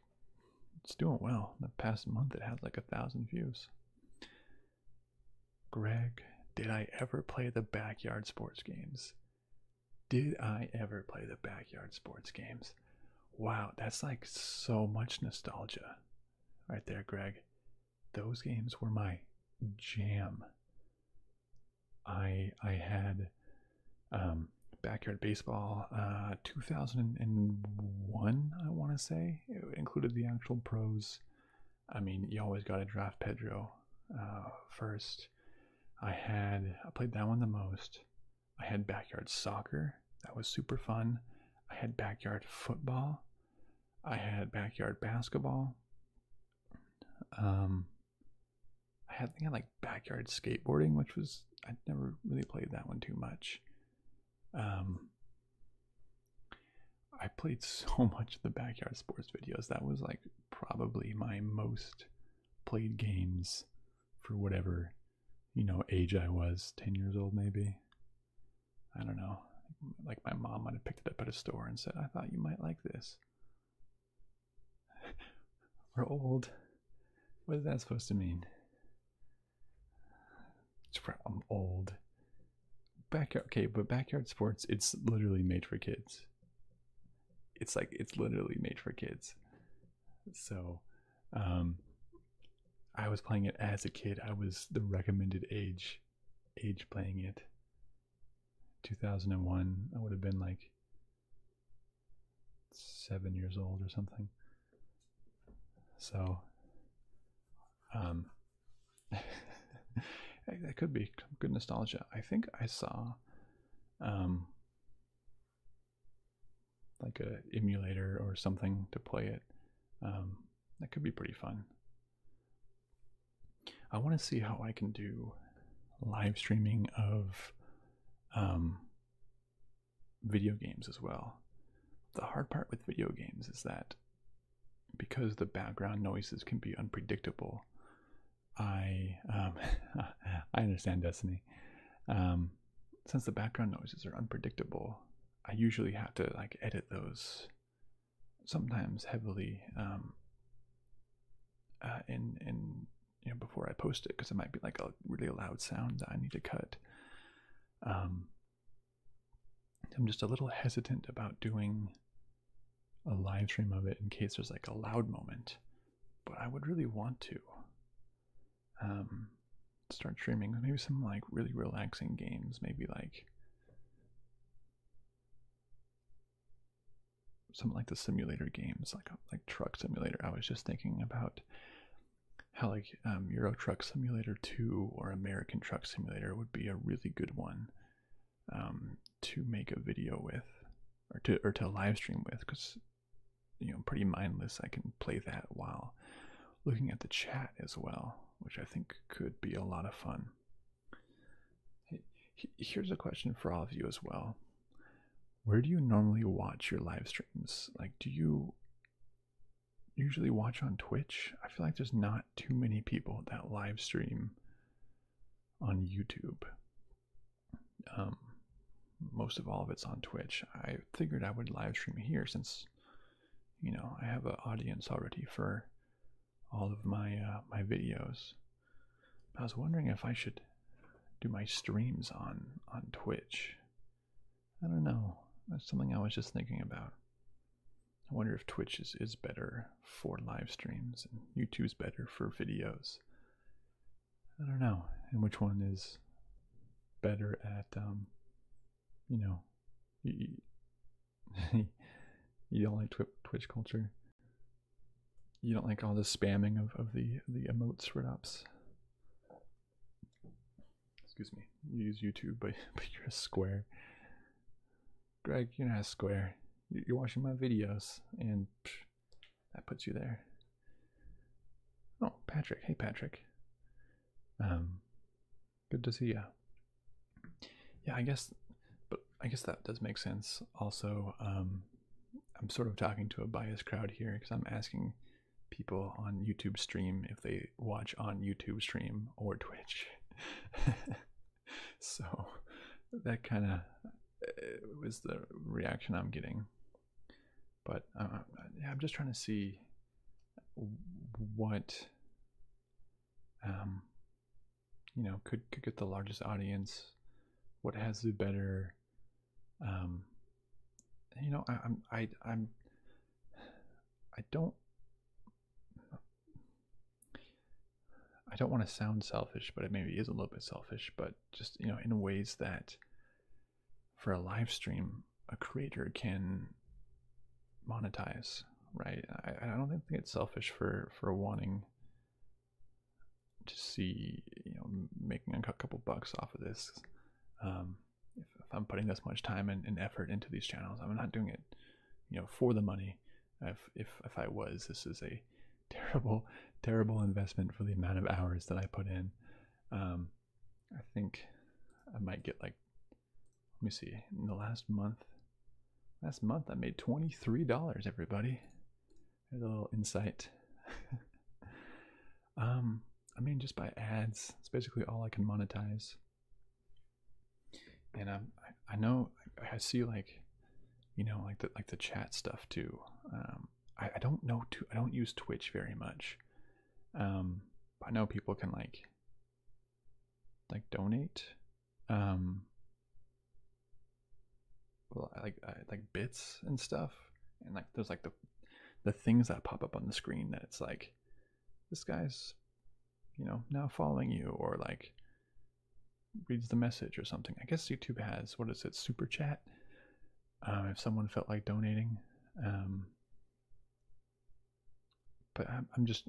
it's doing well the past month it had like a thousand views greg did i ever play the backyard sports games did i ever play the backyard sports games wow that's like so much nostalgia right there greg those games were my jam. I I had um, backyard baseball uh, 2001 I want to say included the actual pros. I mean you always got to draft Pedro uh, first. I had I played that one the most. I had backyard soccer that was super fun. I had backyard football. I had backyard basketball. Um, I had I think like backyard skateboarding, which was I never really played that one too much. Um, I played so much of the backyard sports videos. That was like probably my most played games for whatever you know age I was, ten years old maybe. I don't know like my mom might have picked it up at a store and said, I thought you might like this. We're old. What is that supposed to mean? I'm old. Backyard, okay, but backyard sports, it's literally made for kids. It's like, it's literally made for kids. So, um, I was playing it as a kid. I was the recommended age, age playing it. 2001, I would have been like seven years old or something. So, um, that could be good nostalgia. I think I saw, um, like a emulator or something to play it. Um, that could be pretty fun. I want to see how I can do live streaming of um, video games as well. The hard part with video games is that because the background noises can be unpredictable, I um, I understand Destiny. Um, since the background noises are unpredictable, I usually have to like edit those sometimes heavily um, uh, in in you know before I post it because it might be like a really loud sound that I need to cut. Um, I'm just a little hesitant about doing a live stream of it in case there's like a loud moment, but I would really want to um, start streaming maybe some like really relaxing games, maybe like some like the simulator games, like uh, like Truck Simulator. I was just thinking about how like um, Euro Truck Simulator 2 or American Truck Simulator would be a really good one um, to make a video with or to or to live stream with because you know pretty mindless. I can play that while looking at the chat as well, which I think could be a lot of fun. Here's a question for all of you as well. Where do you normally watch your live streams? Like, do you usually watch on Twitch? I feel like there's not too many people that live stream on YouTube. Um, most of all of it's on Twitch. I figured I would live stream here since, you know, I have an audience already for all of my uh, my videos. I was wondering if I should do my streams on on Twitch. I don't know. That's something I was just thinking about. I wonder if Twitch is, is better for live streams and YouTube's better for videos. I don't know. And which one is better at, um, you know, you don't like Twitch culture. You don't like all the spamming of of the the emotes for ups. Excuse me. You use YouTube, but but you're a square. Greg, you're not a square. You're watching my videos, and that puts you there. Oh, Patrick. Hey, Patrick. Um, good to see you. Yeah, I guess. But I guess that does make sense. Also, um, I'm sort of talking to a biased crowd here because I'm asking people on YouTube stream if they watch on YouTube stream or Twitch. so that kind of uh, was the reaction I'm getting. But uh, I'm just trying to see what um, you know could could get the largest audience what has the better um you know I, i'm i'm i don't i don't want to sound selfish but it maybe is a little bit selfish but just you know in ways that for a live stream a creator can monetize right i, I don't think it's selfish for for wanting to see you know making a couple bucks off of this. Um, if, I'm putting this much time and, effort into these channels, I'm not doing it you know for the money. If if if I was, this is a terrible terrible investment for the amount of hours that I put in. Um, I think I might get like let me see in the last month Last month I made $23, everybody. There's a little insight. um, I mean, just by ads, it's basically all I can monetize. And um, I, I know I, see like, you know, like the like the chat stuff too. Um, I, I don't know too. I don't use Twitch very much. Um, I know people can like, like donate um like like bits and stuff and like there's like the the things that pop up on the screen that it's like this guy's you know now following you or like reads the message or something i guess youtube has what is it super chat um, if someone felt like donating um, but i'm, I'm just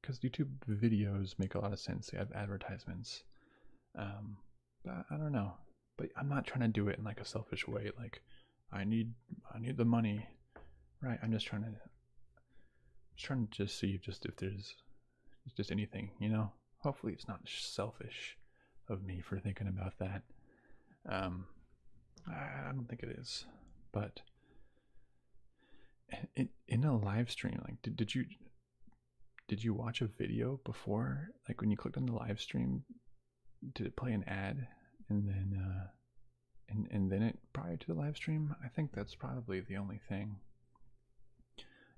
because uh, youtube videos make a lot of sense they have advertisements um, but I don't know. But I'm not trying to do it in like a selfish way. Like I need, I need the money, right? I'm just trying to, just trying to just see if just if there's just anything, you know. Hopefully, it's not selfish of me for thinking about that. Um, I, I don't think it is, but in, in a live stream, like did, did you did you watch a video before? Like when you clicked on the live stream, did it play an ad and then uh and and then it prior to the live stream? I think that's probably the only thing.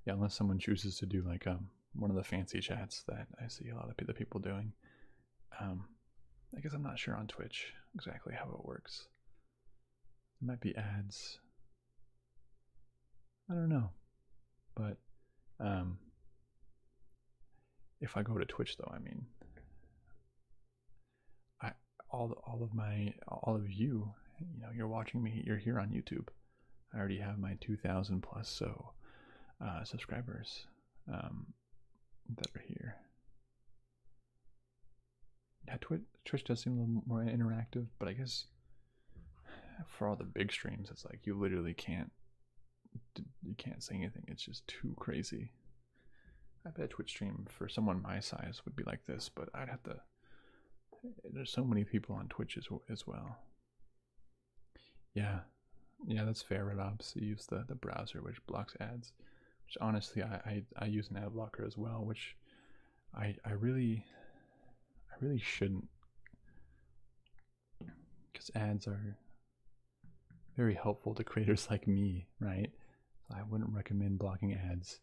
Yeah, unless someone chooses to do like um one of the fancy chats that I see a lot of the people doing. Um I guess I'm not sure on Twitch exactly how it works. It might be ads. I don't know. But um if I go to Twitch though, I mean I all all of my all of you, you know, you're watching me, you're here on YouTube. I already have my 2000 plus so uh subscribers um that are here. Yeah, Twitch, Twitch does seem a little more interactive, but I guess for all the big streams, it's like you literally can't you can't say anything. It's just too crazy. I bet Twitch stream for someone my size would be like this, but I'd have to. There's so many people on Twitch as, as well. Yeah, yeah, that's fair. Red Ops so use the the browser which blocks ads, which honestly I, I I use an ad blocker as well, which I I really I really shouldn't because ads are very helpful to creators like me, right? I wouldn't recommend blocking ads.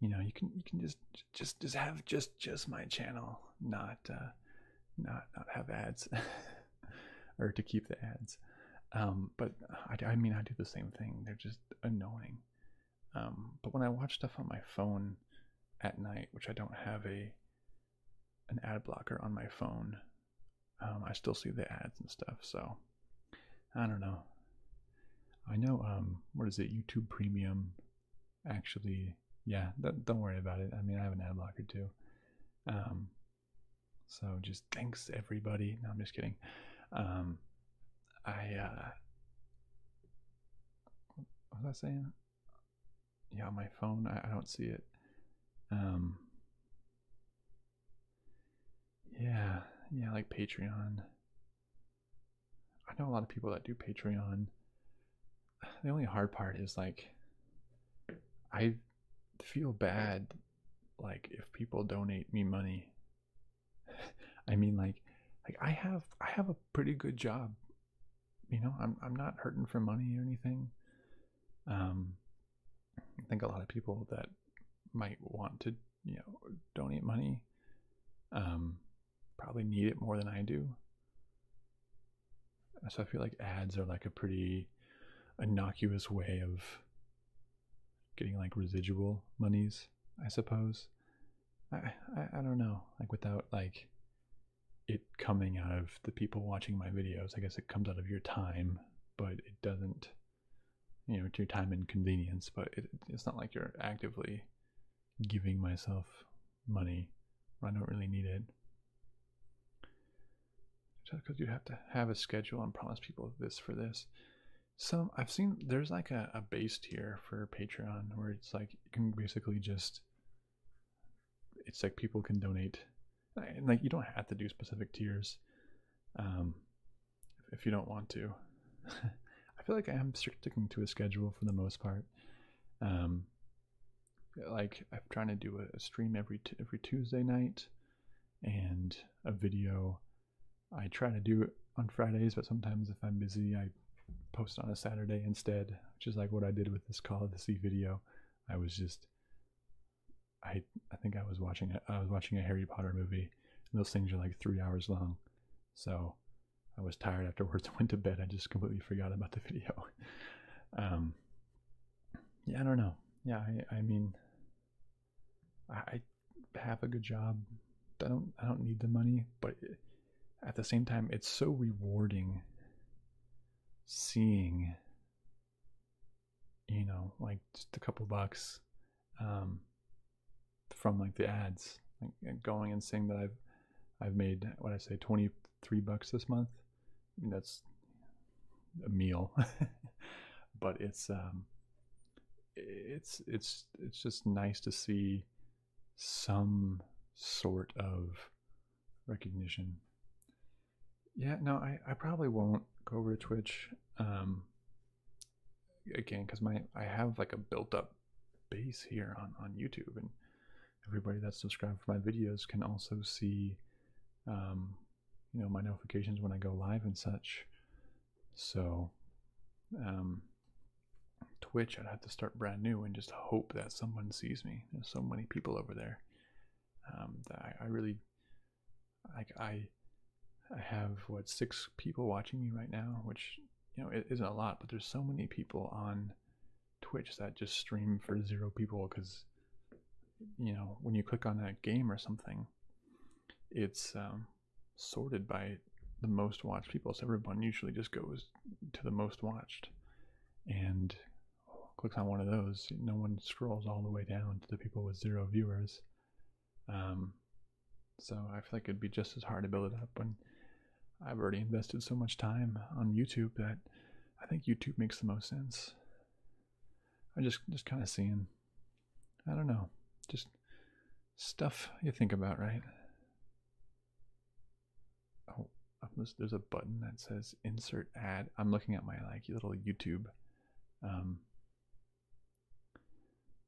You know, you can you can just just just have just just my channel, not uh, not not have ads, or to keep the ads. Um, but I, I mean, I do the same thing. They're just annoying. Um, but when I watch stuff on my phone at night, which I don't have a an ad blocker on my phone, um, I still see the ads and stuff. So I don't know. I know. Um, what is it? YouTube Premium. Actually, yeah. don't worry about it. I mean, I have an ad blocker too. Um, so just thanks everybody. No, I'm just kidding. Um, I uh, what was I saying? yeah, my phone, I, I don't see it. Um, yeah, yeah, like Patreon. I know a lot of people that do Patreon. The only hard part is like, I feel bad, like if people donate me money. I mean, like, like I have, I have a pretty good job you know, I'm I'm not hurting for money or anything. Um, I think a lot of people that might want to, you know, donate money, um, probably need it more than I do. So I feel like ads are like a pretty innocuous way of getting like residual monies, I suppose. I, I don't know. Like without like it coming out of the people watching my videos. I guess it comes out of your time, but it doesn't. You know, to your time and convenience, but it, it's not like you're actively giving myself money. I don't really need it. Just because you have to have a schedule and promise people this for this. Some I've seen there's like a, a base tier for Patreon where it's like you can basically just it's like people can donate and like you don't have to do specific tiers um if you don't want to i feel like i am sticking to a schedule for the most part um like i'm trying to do a, stream every every tuesday night and a video i try to do on fridays but sometimes if i'm busy i post on a saturday instead just like what I did with this Call of the Sea video. I was just, I I think I was watching I was watching a Harry Potter movie, those things are like three hours long, so I was tired afterwards. went to bed. I just completely forgot about the video. um, yeah, I don't know. Yeah, I mean, I, have a good job. I don't I don't need the money, but at the same time, it's so rewarding seeing, you know, like just a couple bucks um, from like the ads, going and seeing that I've I've made what I say twenty three bucks this month. I mean, that's a meal, but it's um, it's it's it's just nice to see some sort of recognition. Yeah, no, I, I probably won't go over to Twitch um, again because my I have like a built up base here on, on YouTube, and everybody that's subscribed for my videos can also see, um, you know, my notifications when I go live and such. So, um, Twitch, I'd have to start brand new and just hope that someone sees me. There's so many people over there um, I, really like. I I have what six people watching me right now, which you know it isn't a lot, but there's so many people on Twitch that just stream for zero people because you know when you click on a game or something, it's um, sorted by the most watched people. So everyone usually just goes to the most watched and clicks on one of those, no one scrolls all the way down to the people with zero viewers. Um, so I feel like it'd be just as hard to build it up when I've already invested so much time on YouTube that I think YouTube makes the most sense. I just just kind of seeing, I don't know, just stuff you think about, right? Oh, there's a button that says insert ad. I'm looking at my like little YouTube. Um,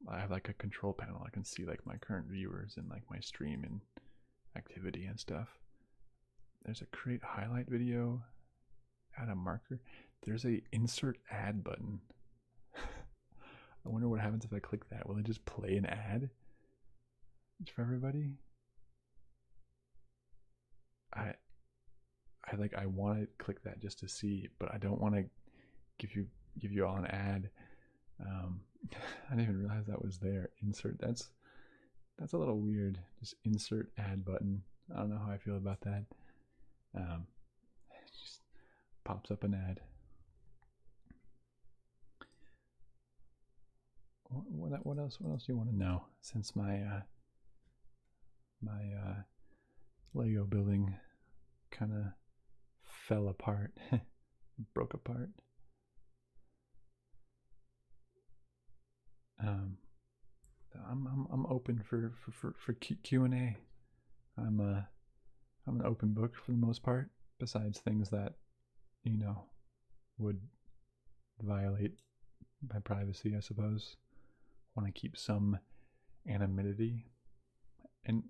I have like a control panel. I can see like my current viewers and like my stream and activity and stuff. There's a create highlight video, add a marker. There's a insert ad button. I wonder what happens if I click that. Will it just play an ad? for everybody. I I like I want to click that just to see, but I don't want to give you give you all an ad. Um, I didn't even realize that was there. Insert that's that's a little weird. Just insert ad button. I don't know how I feel about that. Um, just pops up an ad. What, else? What else do you want to know? Since my uh, my uh, Lego building kind of fell apart, broke apart. Um, I'm I'm open for for for, Q and A. I'm uh I'm an open book for the most part. Besides things that you know would violate my privacy, I suppose. want to keep some anonymity. And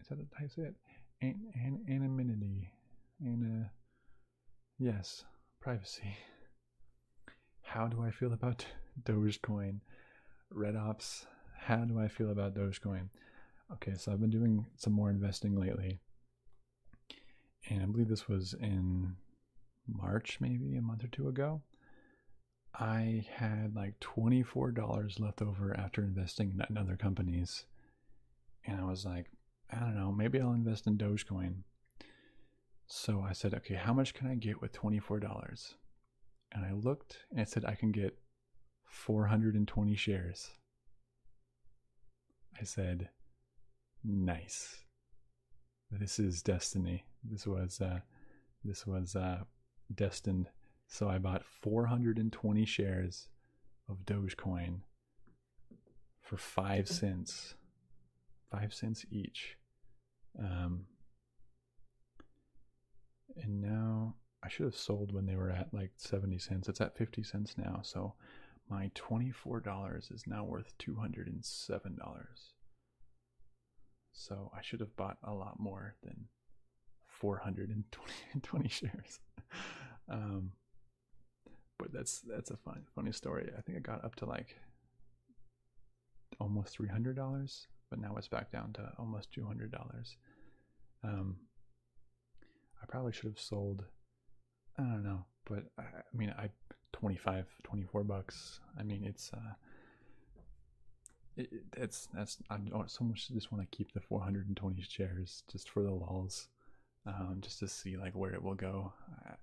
is that how you say it? An, anonymity. And uh, yes, privacy. How do I feel about Dogecoin? Red Ops. How do I feel about Dogecoin? Okay, so I've been doing some more investing lately and I believe this was in March, maybe a month or two ago. I had like $24 left over after investing in other companies. And I was like, I don't know, maybe I'll invest in Dogecoin. So I said, okay, how much can I get with $24? And I looked and it said I can get 420 shares. I said, nice. This is destiny. This was, uh, this was, uh, destined. So I bought 420 shares of Dogecoin for five cents, five cents each. Um, and now I should have sold when they were at like 70 cents. It's at 50 cents now. So my $24 is now worth $207. So I should have bought a lot more than 420 shares. um, but that's that's a fun funny story. I think I got up to like almost three hundred dollars, but now it's back down to almost two hundred dollars. Um, I probably should have sold I don't know, but I, mean, I 25, 24 bucks. I mean, it's uh, it's that's I do so much just want to keep the 420 shares just for the walls, um, just to see like where it will go. Uh,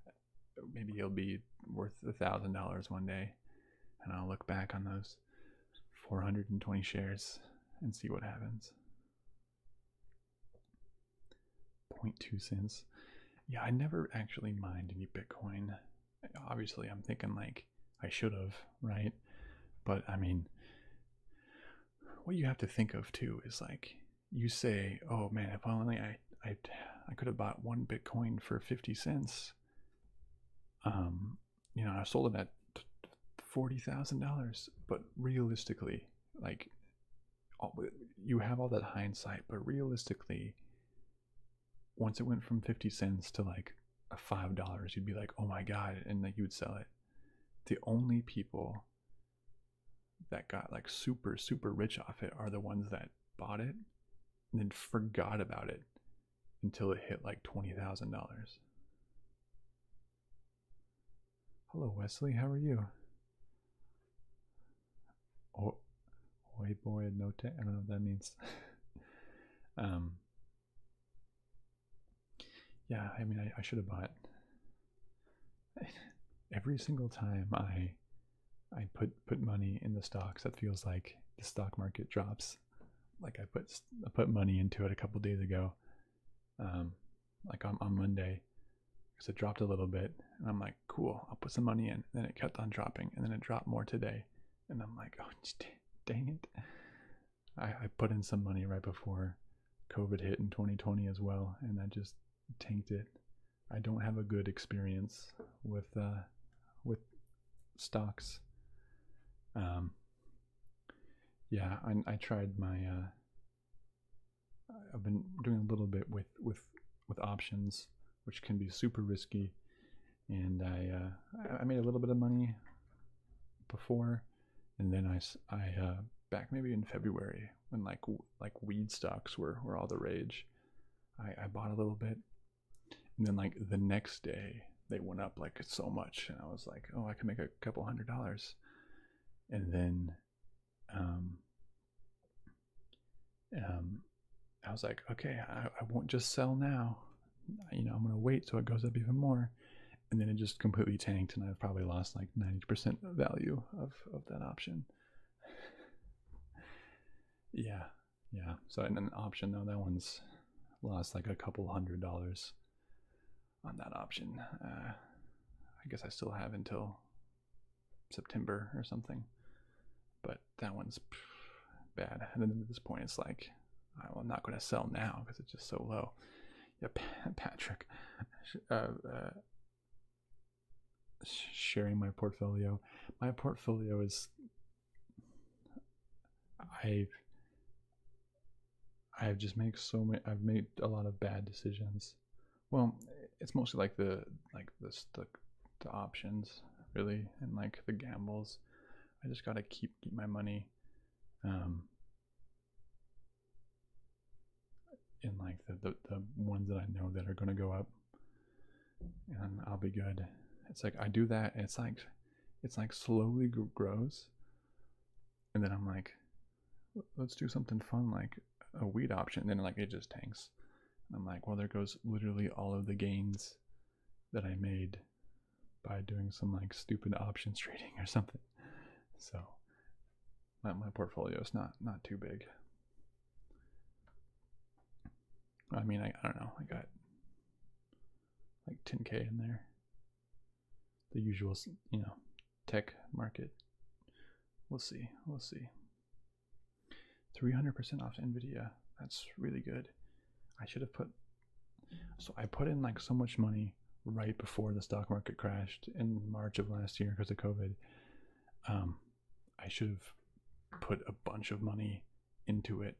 maybe it'll be worth a thousand dollars one day, and I'll look back on those 420 shares and see what happens. 0.2 cents. Yeah, I never actually mined any Bitcoin. Obviously, I'm thinking like I should have, right? But I mean, what you have to think of too is like you say, "Oh man, if only I I I could have bought one Bitcoin for 50 cents." Um, you know, I sold it at forty thousand dollars. But realistically, like you have all that hindsight, but realistically, once it went from 50 cents to like five dollars, you'd be like, oh my god, and like you would sell it. The only people that got like super, super rich off it are the ones that bought it and then forgot about it until it hit like $20,000. Hello, Wesley. How are you? Oh, oi boy, no te- I don't know what that means. um, yeah, I mean, I, I should have bought. Every single time I, I put put money in the stocks, that feels like the stock market drops. Like I put I put money into it a couple days ago, um, like on, on Monday because it dropped a little bit. And I'm like, cool, I'll put some money in. And then it kept on dropping. And then it dropped more today. And I'm like, oh, dang it. I, I put in some money right before COVID hit in 2020 as well. And I just tanked it. I don't have a good experience with uh, with stocks. Um, yeah, I, I tried my uh, I've been doing a little bit with with with options, which can be super risky. And I uh, I made a little bit of money before, and then I I uh, back maybe in February when like like weed stocks were were all the rage. I, I bought a little bit, and then like the next day they went up like so much, and I was like, oh, I can make a couple hundred dollars. And then um, um, I was like, okay, I, won't just sell now. You know, I'm gonna wait so it goes up even more, and then it just completely tanked, and I've probably lost like 90% value of of that option. yeah, yeah. So an option though, that one's lost like a couple hundred dollars on that option. Uh, I guess I still have until September or something. But that one's bad. And then at this point, it's like, I'm not going to sell now because it's just so low. Yeah, Patrick, uh, uh, sharing my portfolio. My portfolio is, I've, I've just made so many. I've made a lot of bad decisions. Well, it's mostly like the like the the, the options really, and like the gambles. I just gotta keep keep my money, um, in like the, the the ones that I know that are gonna go up, and I'll be good. It's like I do that, it's like it's like slowly grows, and then I'm like, let's do something fun like a wheat option. And then like it just tanks. I'm like, well, there goes literally all of the gains that I made by doing some like stupid options trading or something. So my, my portfolio is not not too big. I mean, I, I don't know. I got like 10k in there. The usuals, you know, tech market. We'll see. We'll see. 300% off Nvidia. That's really good. I should have put. So I put in like so much money right before the stock market crashed in March of last year because of COVID. Um, I should have put a bunch of money into it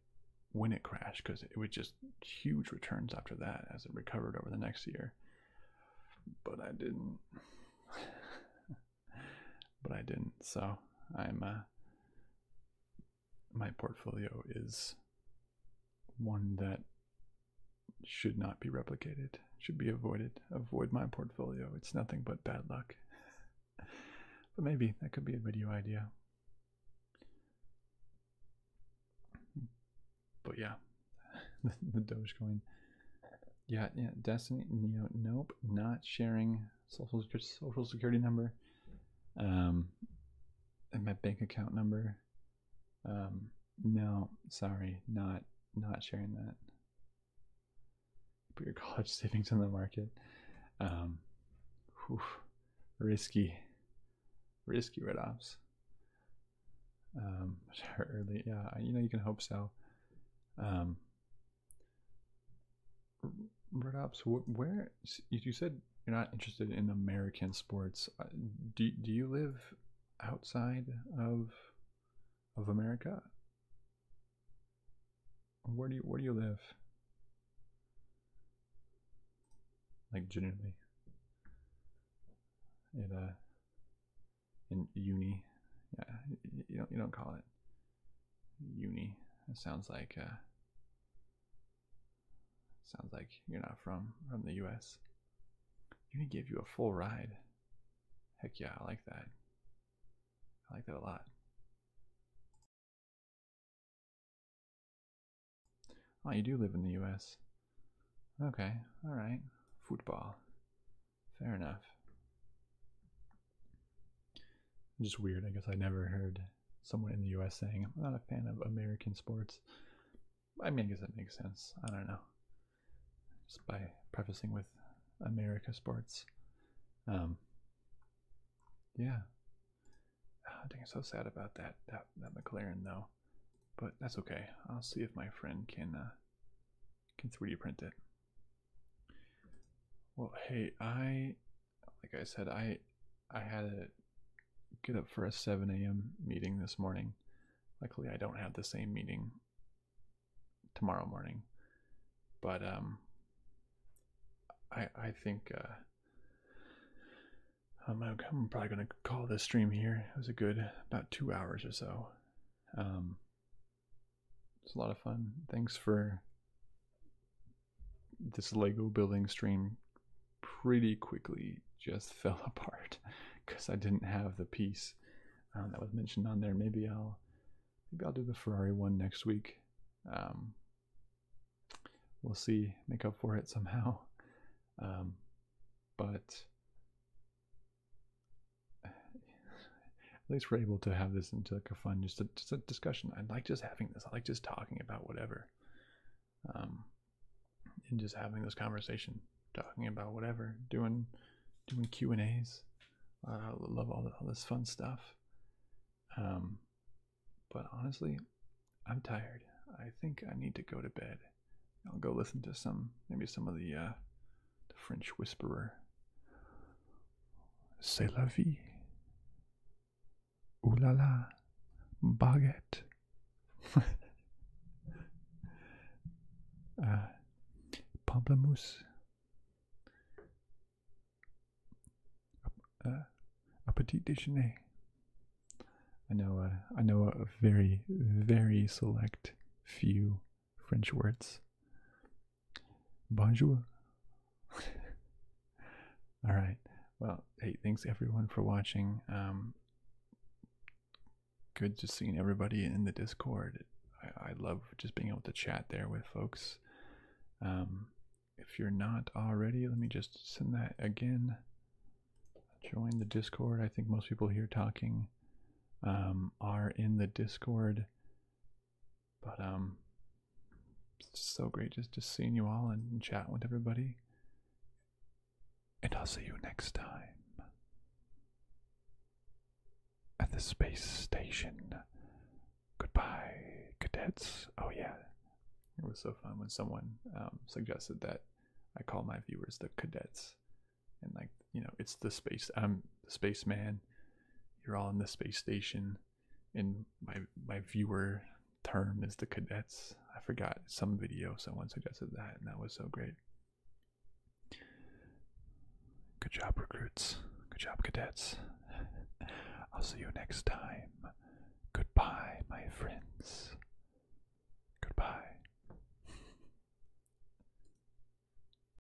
when it crashed because it was just huge returns after that as it recovered over the next year. But I didn't. but I didn't. So I'm uh, my portfolio is one that should not be replicated, should be avoided. Avoid my portfolio. It's nothing but bad luck. but maybe that could be a video idea. But yeah, the Dogecoin. Yeah, yeah, Destiny. nope, not sharing social social security number, um, and my bank account number. Um, no, sorry, not not sharing that. Put your college savings on the market. Um, risky, risky write-offs. Um, early, yeah, you know you can hope so. Um, Red where you said you're not interested in American sports. Uh, do do you live outside of of America? Where do you where do you live? Like generally. it uh, in uni. Yeah, you don't you don't call it uni. It sounds like uh, sounds like you're not from from the U.S. Uni give you a full ride. Heck yeah, I like that. I like that a lot. Oh, you do live in the U.S. Okay, all right. Football. Fair enough. Just weird. I guess I never heard someone in the U.S. saying, "I'm not a fan of American sports." I mean, does that make sense. I don't know. Just by prefacing with America sports. Um. Yeah. I think i so sad about that that that McLaren though, but that's okay. I'll see if my friend can uh, can 3D print it. Well, hey, I like I said, I I had to get up for a 7 a.m. meeting this morning. Luckily, I don't have the same meeting tomorrow morning, but um, I I think uh, I'm, I'm probably gonna call this stream here. It was a good about two hours or so. Um, it's a lot of fun. Thanks for this Lego building stream pretty quickly just fell apart because I didn't have the piece um, that was mentioned on there. Maybe I'll maybe I'll do the Ferrari one next week. Um, we'll see, make up for it somehow. Um, but at least we're able to have this into like a fun, just a, discussion. I like just having this. I like just talking about whatever, um, and just having this conversation, talking about whatever, doing doing Q and A's. I love all, this fun stuff. Um, but honestly, I'm tired. I think I need to go to bed. I'll go listen to some maybe some of the uh, the French whisperer. C'est la vie. Ooh la la, baguette. Ah. uh, pamplemousse. Uh, a petit déjeuner. I know, uh, I know a very, very select few French words. Bonjour. All right. Well, hey, thanks everyone for watching. Um, good just seeing everybody in the Discord. I, love just being able to chat there with folks. Um, if you're not already, let me just send that again. Join the Discord. I think most people here talking um, are in the Discord. But um, it's just so great just just seeing you all and, and chatting with everybody. And I'll see you next time at the space station. Goodbye, cadets. Oh yeah, it was so fun when someone um, suggested that I call my viewers the cadets, and like you know it's the space i'm the spaceman you're all in the space station and my my viewer term is the cadets i forgot some video someone suggested that and that was so great good job recruits good job cadets i'll see you next time goodbye my friends goodbye